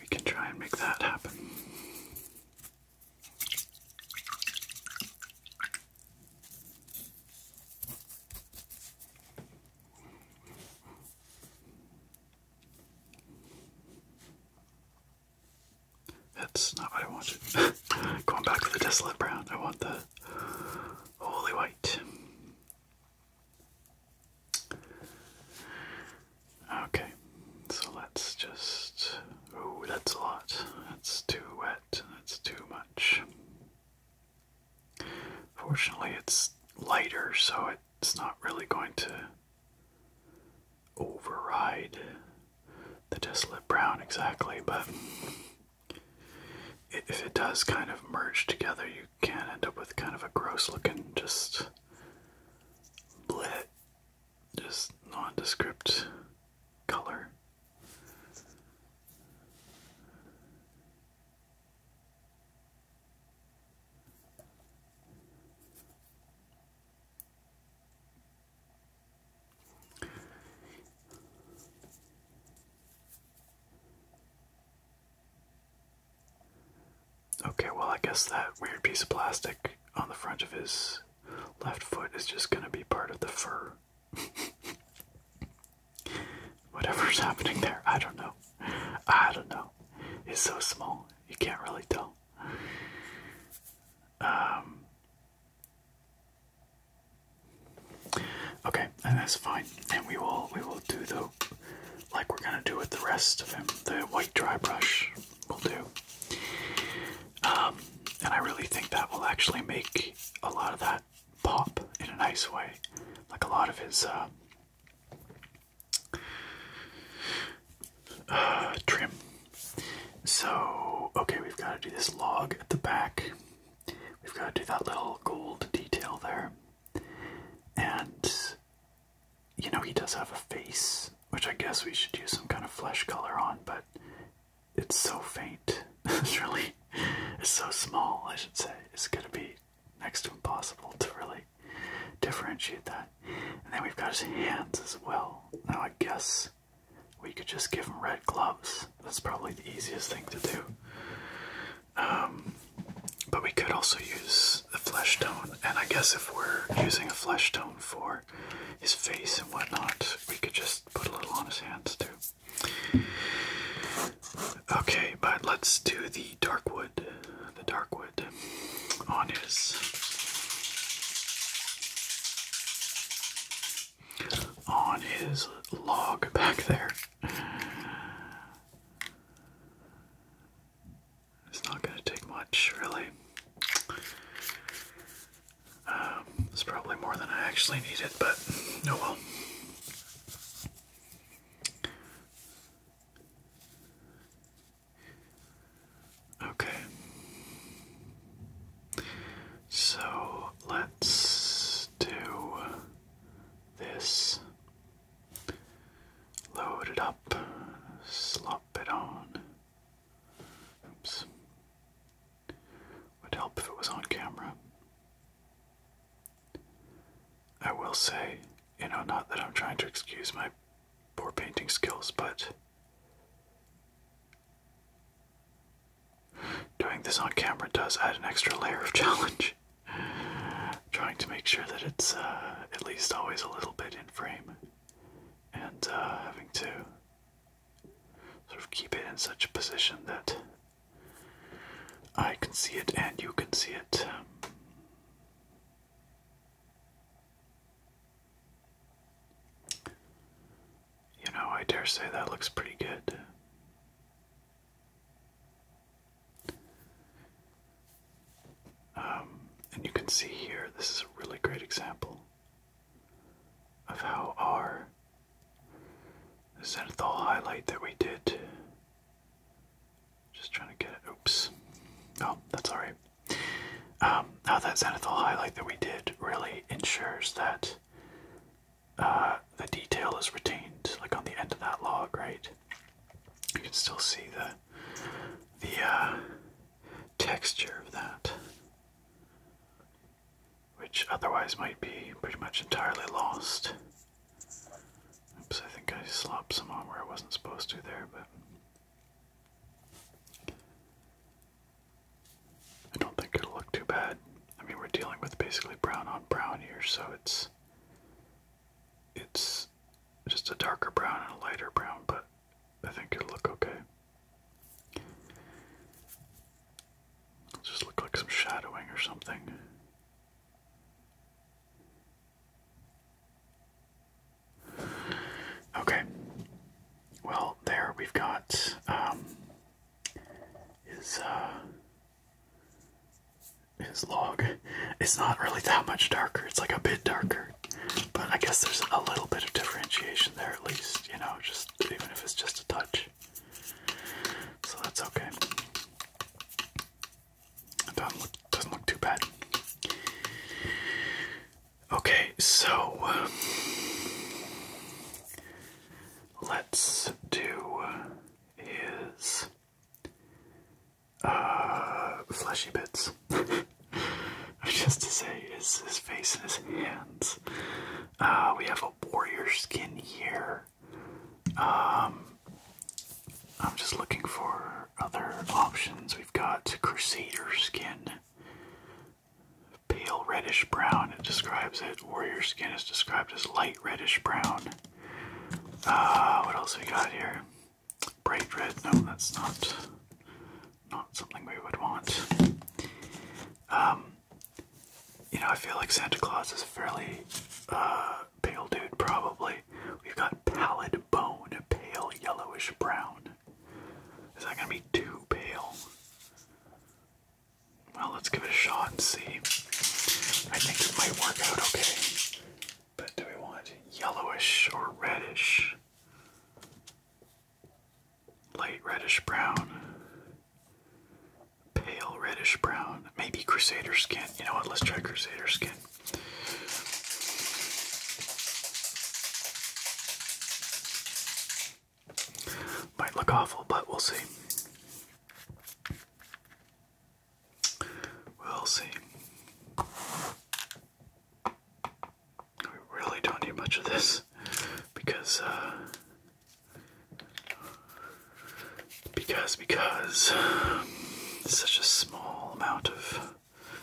we can try and make that happen. That's not what I wanted. Going back to the desolate brown, I want the holy white. Okay, so let's just. Oh, that's a lot. That's too wet. That's too much. Fortunately, it's lighter, so it's not really going to override the desolate brown exactly, but if it does kind of merge together, you can end up with kind of a gross looking, just blit, just nondescript color. Okay, well, I guess that weird piece of plastic on the front of his left foot is just going to be part of the fur. Whatever's happening there, I don't know. I don't know. It's so small, you can't really tell. Um, okay, and that's fine. And we will we will do the like we're gonna do with the rest of him. The white dry brush will do. Um, and I really think that will actually make a lot of that pop in a nice way. Like a lot of his uh, trim. So, okay, we've got to do this log at the back. We've got to do that little gold detail there. And, you know, he does have a face, which I guess we should use some kind of flesh color on, but it's so faint. it's really, it's so small, I should say. It's going to be next to impossible to really differentiate that. And then we've got his hands as well. Now I guess we could just give him red gloves. That's probably the easiest thing to do. Um, but we could also use the flesh tone, and I guess if we're using a flesh tone for his face and whatnot, we could just put a little on his hands too. Okay, but let's do the dark wood. The dark wood on his on his log back there. It's not going to take much, really. Um, it's probably more than I actually needed, but no oh well. Okay. So let's do this. Load it up, slop it on. Oops. Would help if it was on camera. I will say, you know, not that I'm trying to excuse my poor painting skills, but doing this on camera does add an extra layer of challenge. trying to make sure that it's uh, at least always a little bit in frame and uh, having to sort of keep it in such a position that I can see it and you can see it. You know, I dare say that looks pretty good. Um, and you can see here, this is a really great example of how our zenithal highlight that we did just trying to get it. Oops. Oh, that's alright. now um, that zenithal highlight that we did really ensures that uh, the detail is retained, like on the end of that log, right? You can still see the the uh, texture of that, which otherwise might be pretty much entirely lost. Oops, I think I slopped some on where I wasn't supposed to there, but. I don't think it'll look too bad. I mean, we're dealing with basically brown on brown here, so it's. It's just a darker brown and a lighter brown, but I think it'll look okay. It'll just look like some shadowing or something. Okay. Well, there we've got um, his uh, his log. It's not really that much darker. It's like a bit darker, but I guess there's a little bit of differentiation there at least. You know, just even if it's just a touch. So that's okay doesn't look, too bad. Okay, so let's do his uh, fleshy bits. Just to say, is his face and his hands. Uh, we have a warrior skin here. Um, I'm just looking for other options. We've got Crusader skin, pale reddish brown, it describes it. Warrior skin is described as light reddish brown. Uh, what else we got here? Bright red, no, that's not not something we would want. Um, you know, I feel like Santa Claus is a fairly uh, pale dude, probably. We've got pallid bone, pale yellowish brown. Is that gonna be too pale? Well, let's give it a shot and see. I think it might work out okay. But do we want yellowish or reddish? Light reddish brown. Pale reddish brown. Maybe Crusader skin. You know what? Let's try Crusader skin. Might look awful, but we'll see. We'll see. We really don't need much of this because uh, because because such a small amount of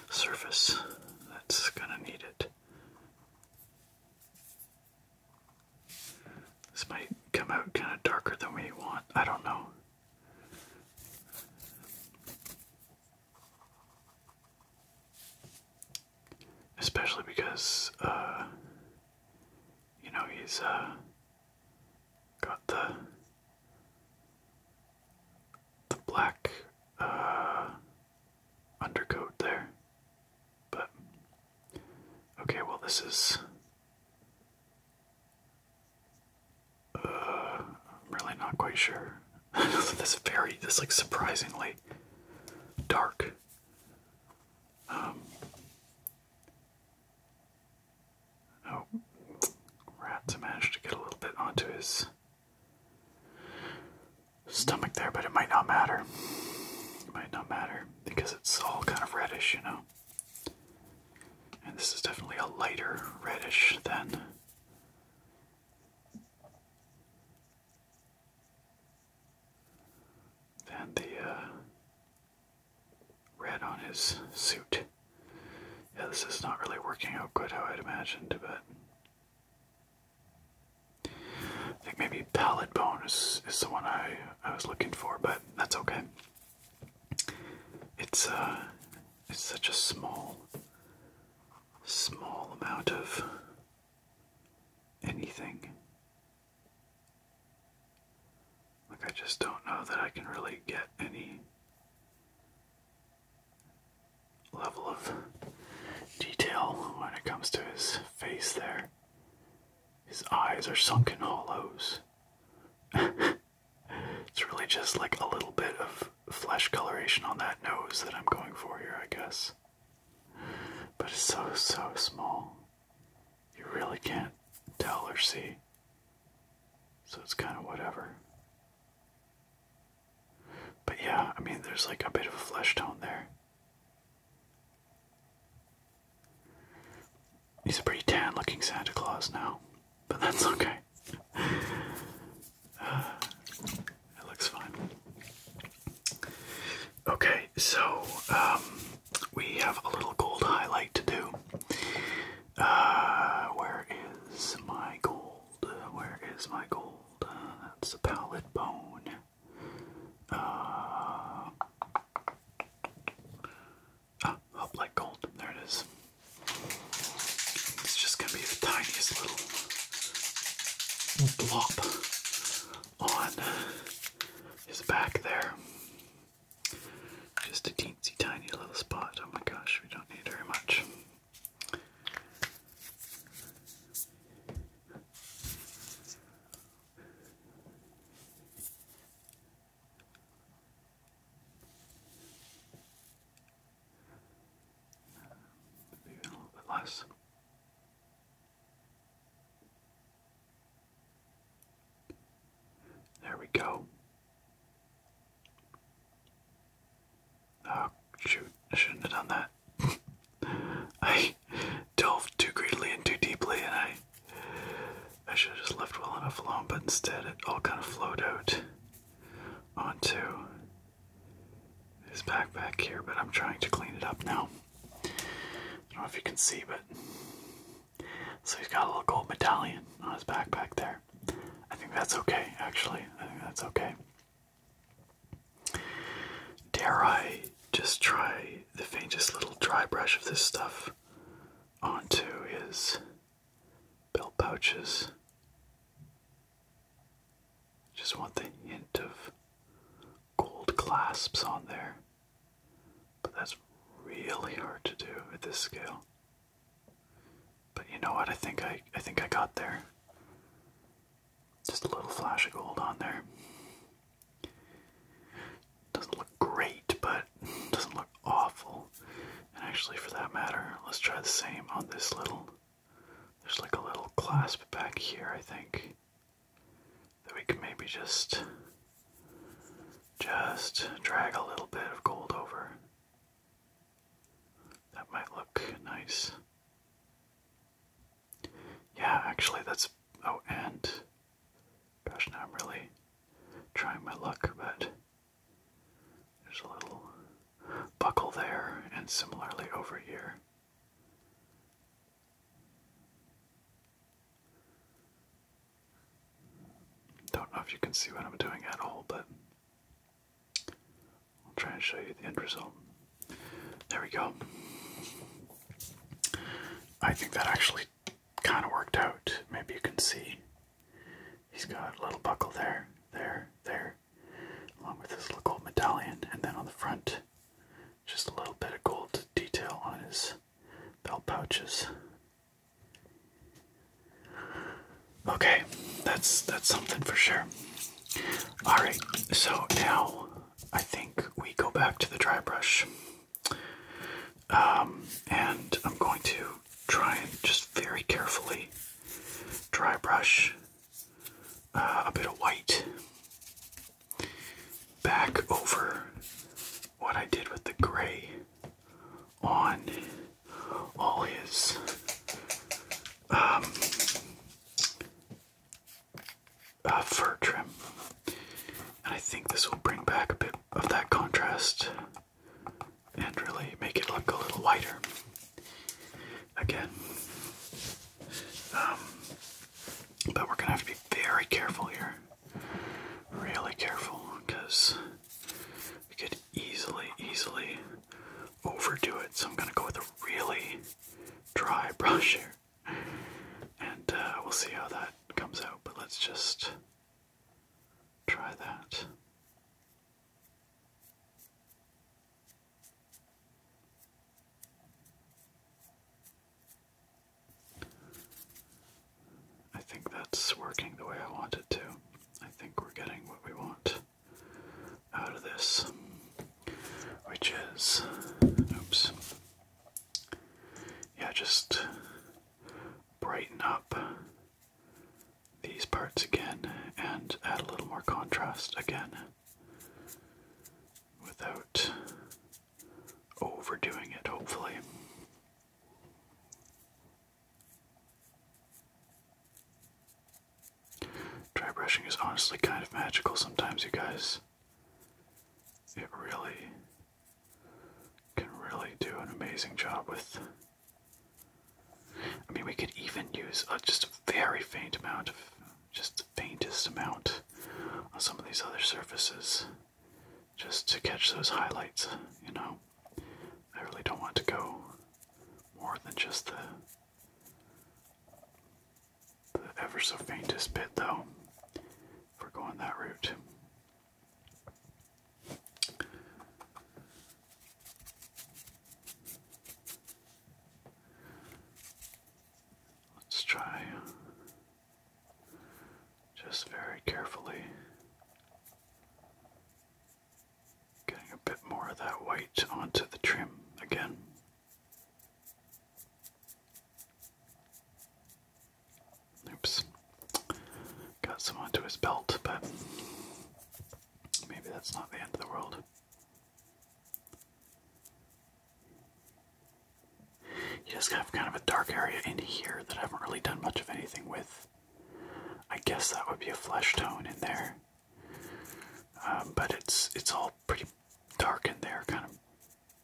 surface that's gonna need it. This might come out kind of darker than we want. I don't know. Especially because, uh, you know, he's uh, Got the the black uh, undercoat there, but okay. Well, this is. Uh, I'm really not quite sure. this very, this like surprisingly dark. Um, Oh, rats managed to get a little bit onto his stomach there, but it might not matter. might not matter because it's all kind of reddish, you know. And this is definitely a lighter reddish than. Than the uh, red on his suit. Yeah, this is not really working out good how I'd imagined, but. I think maybe pallet bone is, is the one I, I was looking for, but that's okay. It's uh it's such a small small amount of anything. Like, I just don't know that I can really get any level of detail when it comes to his face there. His eyes are sunken hollows. it's really just like a little bit of flesh coloration on that nose that I'm going for here, I guess. But it's so, so small. You really can't tell or see. So it's kind of whatever. But yeah, I mean, there's like a bit of a flesh tone there. He's a pretty tan looking Santa Claus now, but that's okay. it looks fine. Okay, so um, we have a little gold highlight to do. Uh, where is my gold? Where is my gold? Uh, that's a pallet bone. Uh, ah, up like gold. There it is. It's just gonna be the tiniest little blob on his back there. Just a teensy tiny little spot. Oh my gosh, we don't need very much. Maybe a little bit less. There we go. Oh, shoot. I shouldn't have done that. I delved too greedily and too deeply, and I, I should have just left well enough alone, but instead it all kind of flowed out onto his backpack here, but I'm trying to clean it up now. I don't know if you can see, but so he's got a little gold medallion on his backpack there. I think that's okay, actually. I think that's okay. Dare I just try the faintest little dry brush of this stuff onto his belt pouches? Just want the hint of gold clasps on there. But that's really hard to do at this scale. But you know what? I think I I think I got there. Just a little flash of gold on there. Doesn't look great, but doesn't look awful. And actually, for that matter, let's try the same on this little. There's like a little clasp back here, I think. That we can maybe just just drag a little bit of gold over. That might look nice. Yeah, actually, that's. Oh, and. Gosh, now I'm really trying my luck, but there's a little buckle there, and similarly over here. Don't know if you can see what I'm doing at all, but I'll try and show you the end result. There we go. I think that actually kind of worked out. Maybe you can see he's got a little buckle there, there, there, along with this little gold medallion, and then on the front, just a little bit of gold detail on his belt pouches. Okay, that's that's something for sure. All right, so now I think we go back to the dry brush, um, and I'm going to try and just very carefully dry brush uh, a bit of white back over what I did with the gray on all his um, uh, fur trim. And I think this will bring back a bit of that contrast and really make it look a little whiter. Again, um, but we're gonna have to be very careful here, really careful, because we could easily, easily overdo it. So I'm gonna go with a really dry brush here. And uh, we'll see how that comes out, but let's just try that. I think that's working the way I want it to. I think we're getting what we want out of this, which is, oops, yeah, just brighten up these parts again and add a little more contrast again without overdoing it, hopefully. Dry brushing is honestly kind of magical sometimes, you guys. It really can really do an amazing job with. I mean, we could even use just a very faint amount of, just the faintest amount on some of these other surfaces just to catch those highlights, you know? I really don't want to go more than just the, ever so faintest bit, though, for going that route. Let's try just very carefully Getting a bit more of that white onto the trim again. Oops. Got some onto his belt, but maybe that's not the end of the world. You just have kind of a dark area in here that I haven't really done much of anything with. I guess that would be a flesh tone in there. Um, but it's it's all pretty dark in there, kind of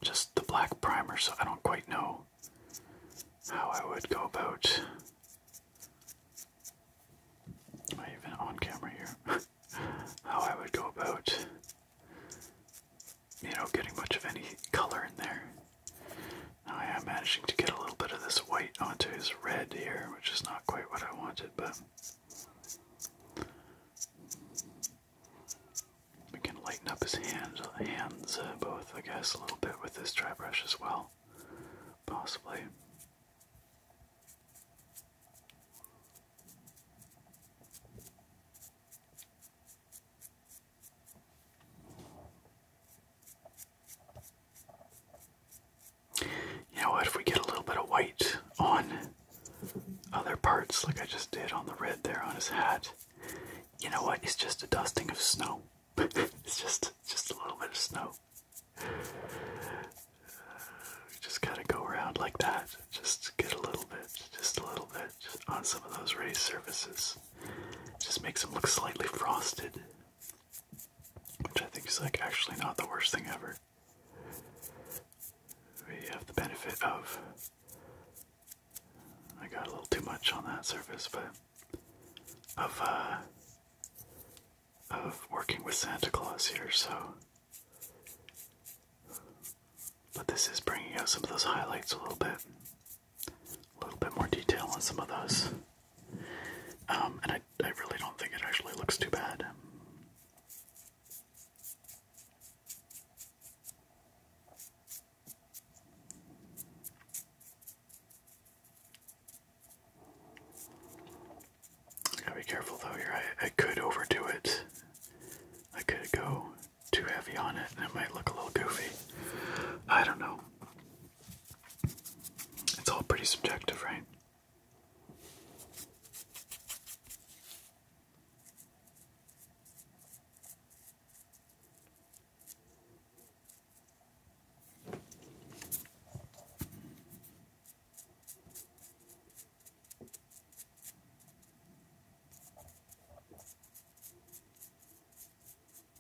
just the black primer, so I don't quite know how I would go about. Am I even on camera here? how I would go about, you know, getting much of any color in there. Oh, I am managing to get a little bit of this white onto his red here, which is not quite what I wanted, but we can lighten up his hand, hands uh, both, I guess, a little bit with this dry brush as well, possibly. You know what, if we get a little bit of white on other parts, like I just did on the red there on his hat, you know what, it's just a dusting of snow. it's just just a little bit of snow. Uh, just gotta go around like that. Just get a little bit, just a little bit just on some of those raised surfaces. Just makes them look slightly frosted. Which I think is like actually not the worst thing ever. We have the benefit of I got a little too much on that surface, but of uh, of working with Santa Claus here, so but this is bringing out some of those highlights a little bit. A little bit more detail on some of those um, and I, I really don't think it actually looks too bad. gotta be careful though here. I, I could overdo it. I could go too heavy on it and it might look a little goofy. I don't know. It's all pretty subjective, right?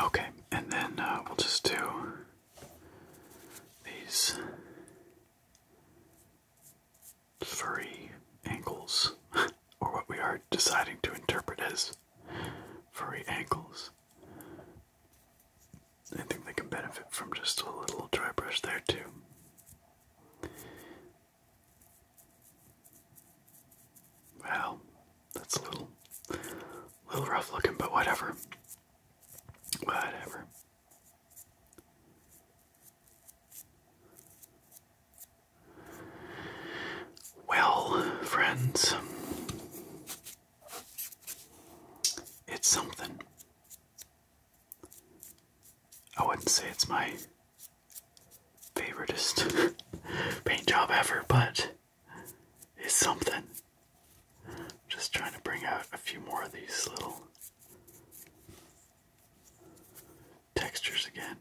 Okay, and then uh, we'll just do these furry ankles, or what we are deciding to interpret as furry ankles. I think they can benefit from just a little dry brush there too. Wow, that's a little, little rough looking, but whatever. Whatever. Well, friends, it's something. I wouldn't say it's my favoriteest paint job ever, but it's something. just trying to bring out a few more of these little textures again.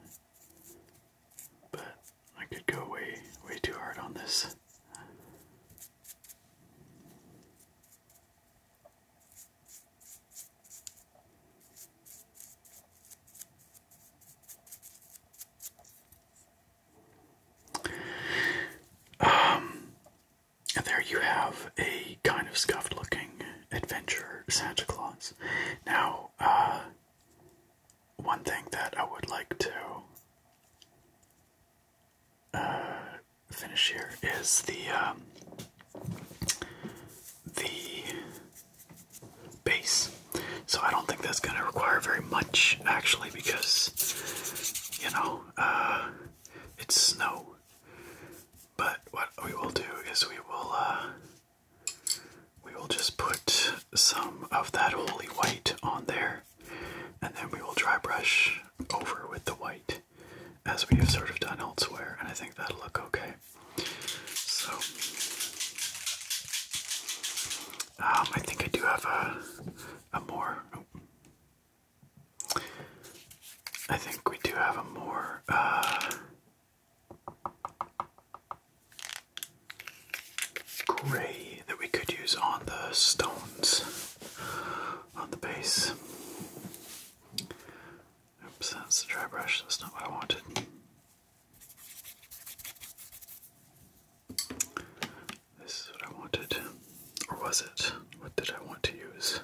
But I could go way, way too hard on this. Um, there you have a kind of scuffed looking adventure Santa Claus. Now, uh, one thing that I would like to uh, finish here is the um, the base. So I don't think that's going to require very much actually, because you know uh, it's snow. But what we will do is we will uh, we will just put some of that holy white on there. And then we will dry brush over with the white as we have sort of done elsewhere, and I think that'll look okay. So, um, I think I do have a, a more. I think we do have a more. Uh, gray that we could use on the stones on the base. Oops, that's the dry brush, that's not what I wanted. This is what I wanted. Or was it? What did I want to use?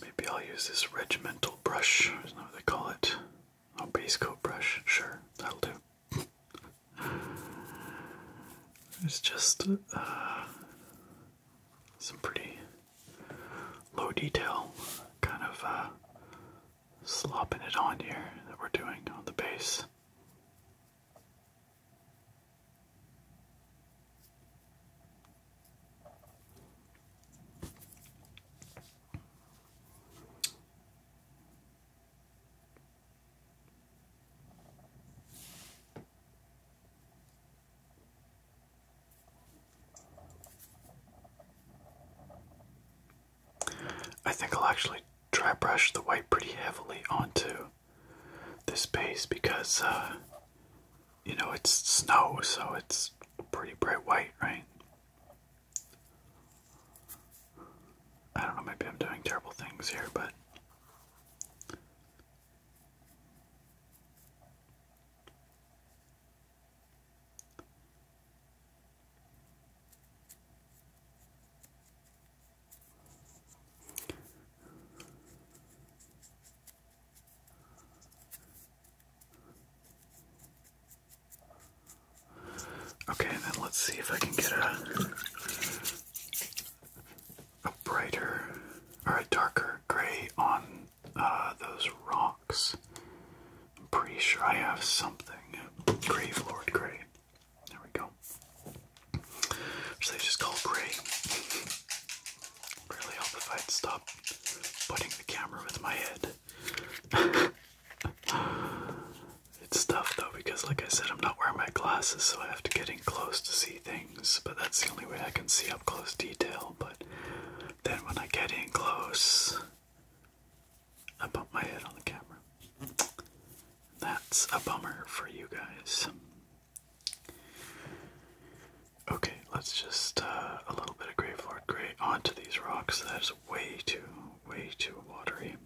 Maybe I'll use this regimental brush, isn't that what they call it? Oh, base coat brush, sure, that'll do. It's just uh, some pretty low detail kind of uh, slopping it on here that we're doing on the base. I think I'll actually try brush the white pretty heavily onto this base because, uh, you know, it's snow, so it's pretty bright white, right? I don't know, maybe I'm doing terrible things here, but Okay, and then let's see if I can get a a brighter or a darker gray on uh, those rocks. I'm pretty sure I have something. Grave Lord Gray. There we go. Which they just call Gray. Really hope if I'd stop putting the camera with my head. It's tough though because, like I said, I'm not wearing my glasses, so I have to get in close to see things. But that's the only way I can see up close detail. But then when I get in close, I bump my head on the camera. That's a bummer for you guys. Okay, let's just uh, a little bit of Grey Lord Grey onto these rocks. That is way too, way too watery.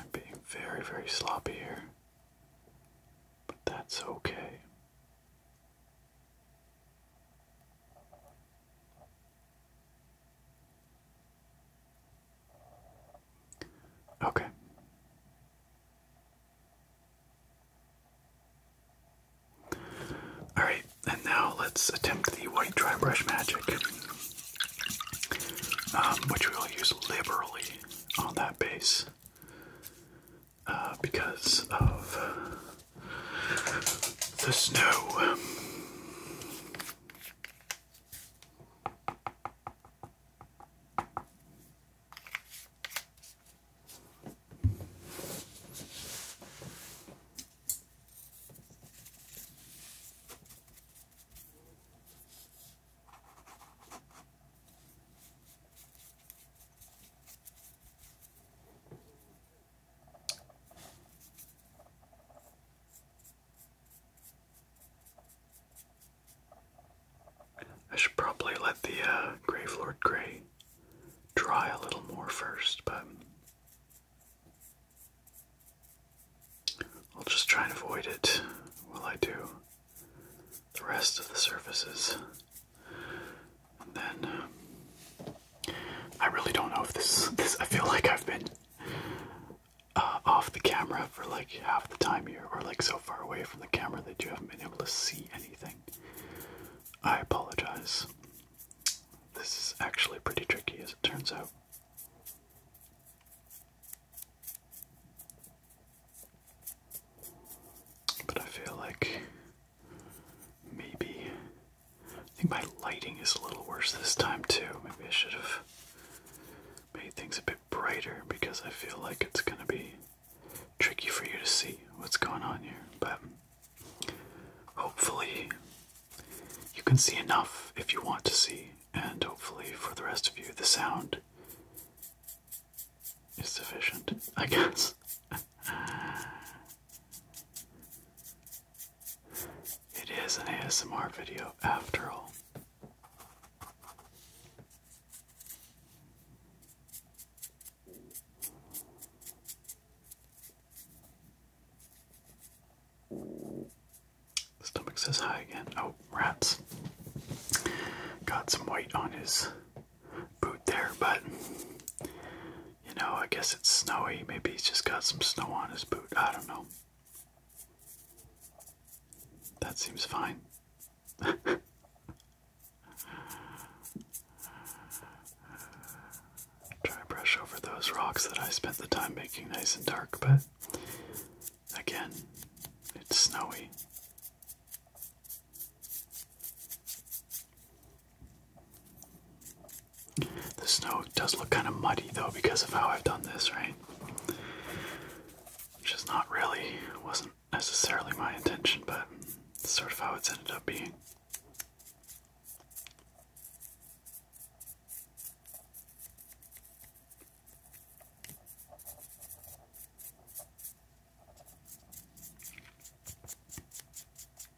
I'm being very, very sloppy here, but that's okay. Okay. Alright, and now let's attempt the white dry brush magic, um, which we will use liberally on that base uh, because of the snow. I should probably let the uh, Grave Lord Grey dry a little more first, but I'll just try and avoid it while I do the rest of the surfaces. And then. Um, I really don't know if this this I feel like I've been uh, off the camera for like half the time here or like so far away from the camera that you haven't been able to see anything. I apologize. This is actually pretty tricky as it turns out. But I feel like maybe I think my lighting is a little worse this time too. Maybe I should have made things a bit brighter because I feel like it's gonna be tricky for you to see what's going on here. But hopefully you can see enough if you want to see, and hopefully for the rest of you the sound is sufficient, I guess. It is an ASMR video after all. stomach says hi again. Oh, rats. Got some white on his boot there, but you know, I guess it's snowy. Maybe he's just got some snow on his boot. I don't know. That seems fine. Try brush over those rocks that I spent the time making nice and dark, but again, it's snowy. The snow does look kind of muddy though because of how I've done this, right? Which is not really, wasn't necessarily my intention, but sort of how it's ended up being.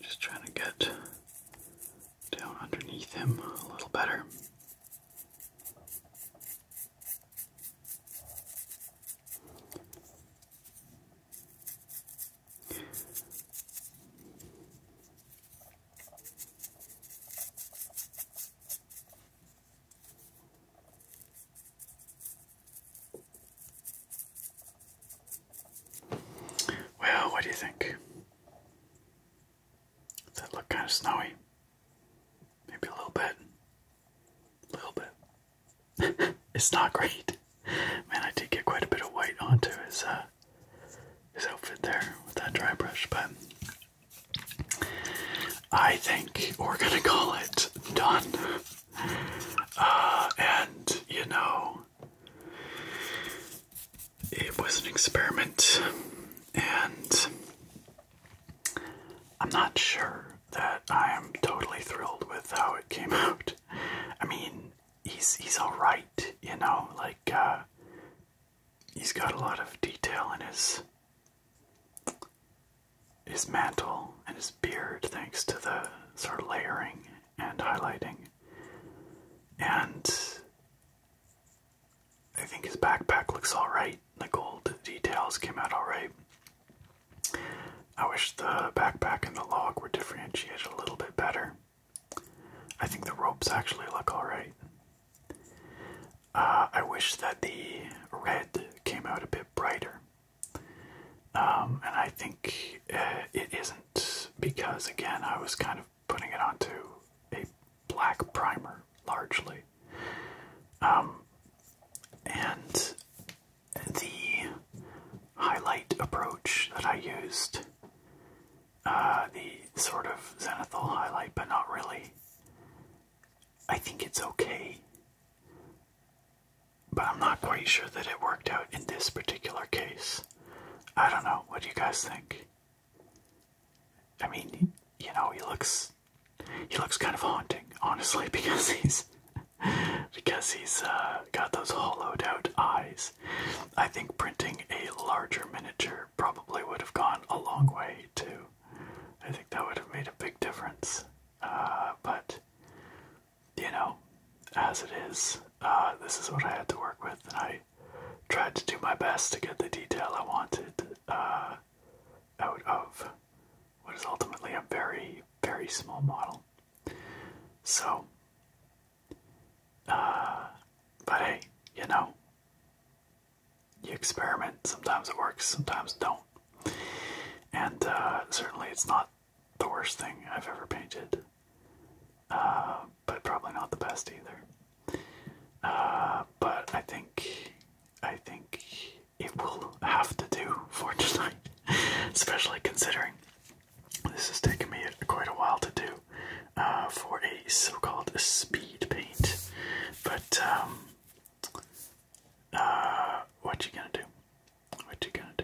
Just trying to get down underneath him a little better. Well, what do you think? Does that look kind of snowy? Maybe a little bit a little bit. it's not great. Man, I did get quite a bit of white onto his uh, his outfit there with that dry brush, but I think we're gonna call it done. Uh, and you know, it was an experiment, and I'm not sure that I am totally thrilled with how it came out. I mean, he's he's all right, you know, like uh, he's got a lot of detail in his his mantle and his beard, thanks to the sort of layering and highlighting, and I think his backpack looks all right. The gold details came out all right. I wish the backpack and the log were differentiated a little bit better. I think the ropes actually look alright. Uh, I wish that the red came out a bit brighter. Um, and I think uh, it isn't because, again, I was kind of putting it onto a black primer largely. Um, and the highlight approach that I used. Uh, the sort of zenithal highlight, but not really. I think it's okay. But I'm not quite sure that it worked out in this particular case. I don't know. What do you guys think? I mean, you know, he looks he looks kind of haunting, honestly, because he's because he's uh, got those hollowed out eyes. I think printing a larger miniature probably would have gone a long way too. I think that would have made a big difference. Uh, but, you know, as it is, uh, this is what I had to work with, and I tried to do my best to get the detail I wanted out of what is ultimately a very, very small model. So, uh, but hey, you know, you experiment. Sometimes it works, sometimes don't. And uh, certainly it's not the worst thing I've ever painted, uh, but probably not the best either. but I think, I think it will have to do for tonight, especially considering this has taken me quite a while to do uh, for a so-called speed paint. But um, uh, what you gonna do? What you gonna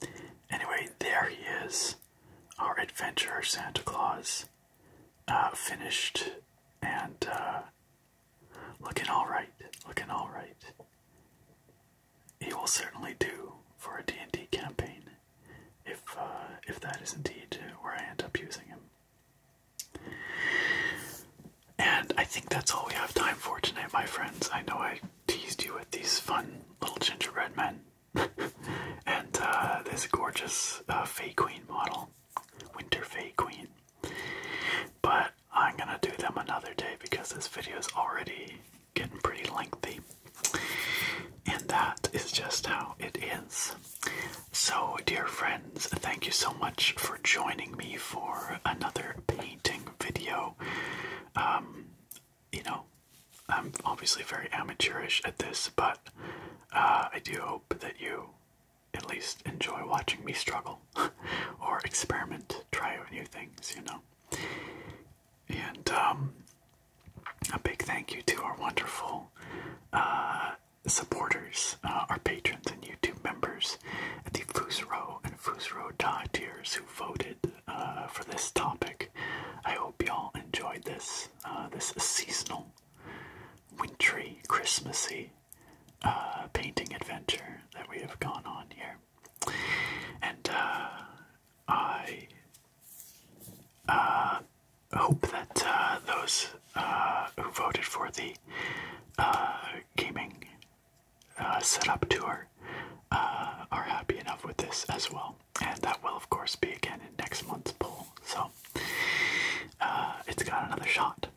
do? Anyway, there he is, our adventure Santa Claus, uh, finished and looking all right. Looking all right he will certainly do for a D&D campaign if uh, if that is indeed where I end up using him. And I think that's all we have time for tonight, my friends. I know I teased you with these fun little gingerbread men and uh, this gorgeous uh, Queen model, Winter Fae Queen. But I'm gonna do them another day because this video is already getting pretty lengthy. And that is just how it is. So, dear friends, thank you so much for joining me for another painting video. Um, you know, I'm obviously very amateurish at this, but uh, I do hope that you at least enjoy watching me struggle or experiment, try out new things, you know. And um, a big thank you to our wonderful uh, supporters, uh, our patrons and YouTube members at the Fusro and Fusro Da tiers who voted uh, for this topic. I hope y'all enjoyed this. this seasonal, wintry, Christmassy painting adventure that we have gone on here. And uh, I uh, hope that uh, those who voted for the gaming setup tour are happy enough with this as well. And that will, of course, be again in next month's poll. So it's got another shot.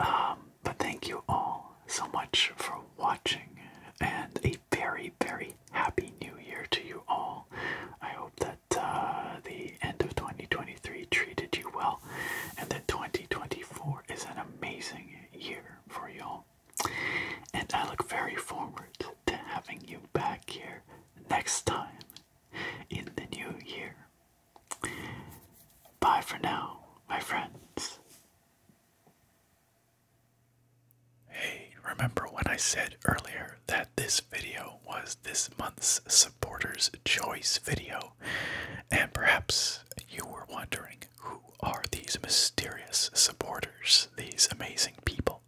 Um, but thank you all so much for watching and a very, very happy new year to you all. I hope that uh, the end of 2023 treated you well and that 2024 is an amazing year for y'all. And I look very forward to having you back here next time in the new year. Bye for now, my friends. Hey, remember when I said earlier that this video was this month's supporters' choice video? And perhaps you were wondering who are these mysterious supporters, these amazing people?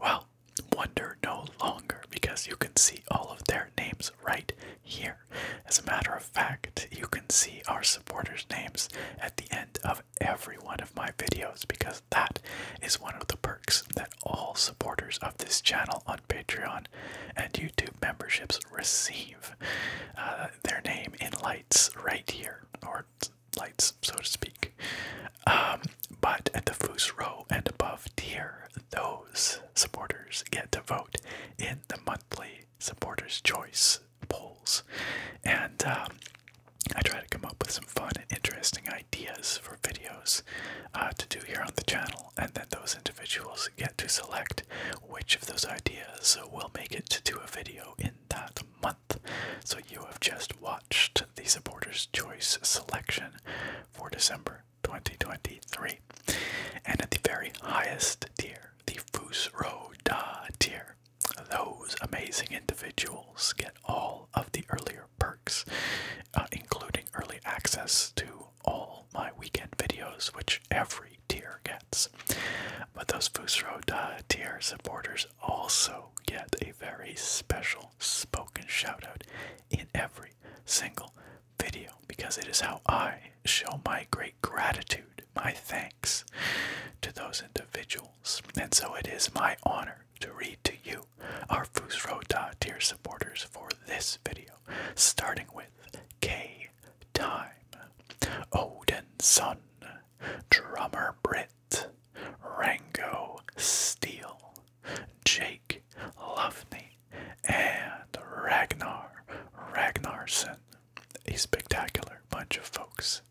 Well, wonder no longer because you can see all of their names right here. As a matter of fact, you can see our supporters' names at the end of every one of my videos because that is one of the perks that all supporters of this channel on Patreon and YouTube memberships receive. Uh, their name in lights right here, or lights, so to speak. Um, but at the first Row and above tier, those supporters get to vote in the monthly supporters' choice polls. And um, I try to come up with some fun and interesting ideas for videos uh, to do here on the channel, and then those individuals get to select which of those ideas will make it to do a video in that month. So you have just watched the Supporters' Choice selection for December 2023. And at the very highest tier, the Fus Roda tier, those amazing individuals get all of the earlier perks, uh, including early access to all my weekend videos, which every tier gets. But those Fusro tier supporters also get a very special spoken shoutout in every single video because it is how I show my great gratitude my thanks to those individuals. And so it is my honor to read to you, our Fusrota dear supporters, for this video, starting with K Time, Odin Sun, Drummer Brit, Rango Steel, Jake Lovney, and Ragnar Ragnarsson a spectacular bunch of folks.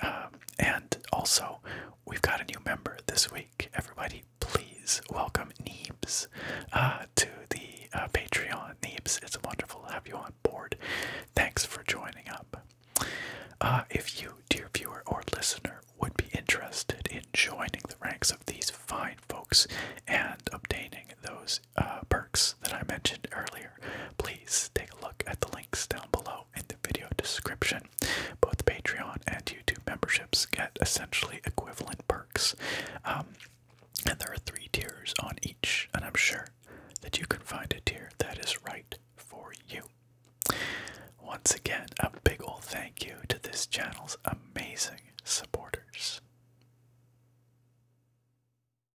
Um, and also, we've got a new member this week. Everybody, please welcome Neebs uh, to the uh, Patreon. Neebs, it's wonderful to have you on board. Thanks for joining up. Uh, if you, dear viewer or listener, would be interested in joining the ranks of these fine folks and obtaining those uh, perks that I mentioned earlier, please take a look at the links down below in the video description. Both Patreon and YouTube memberships get essentially equivalent perks, um, and there are three tiers on each, and I'm sure that you can find a tier that is right for you. Once again, a big old thank you to this channel's amazing supporters.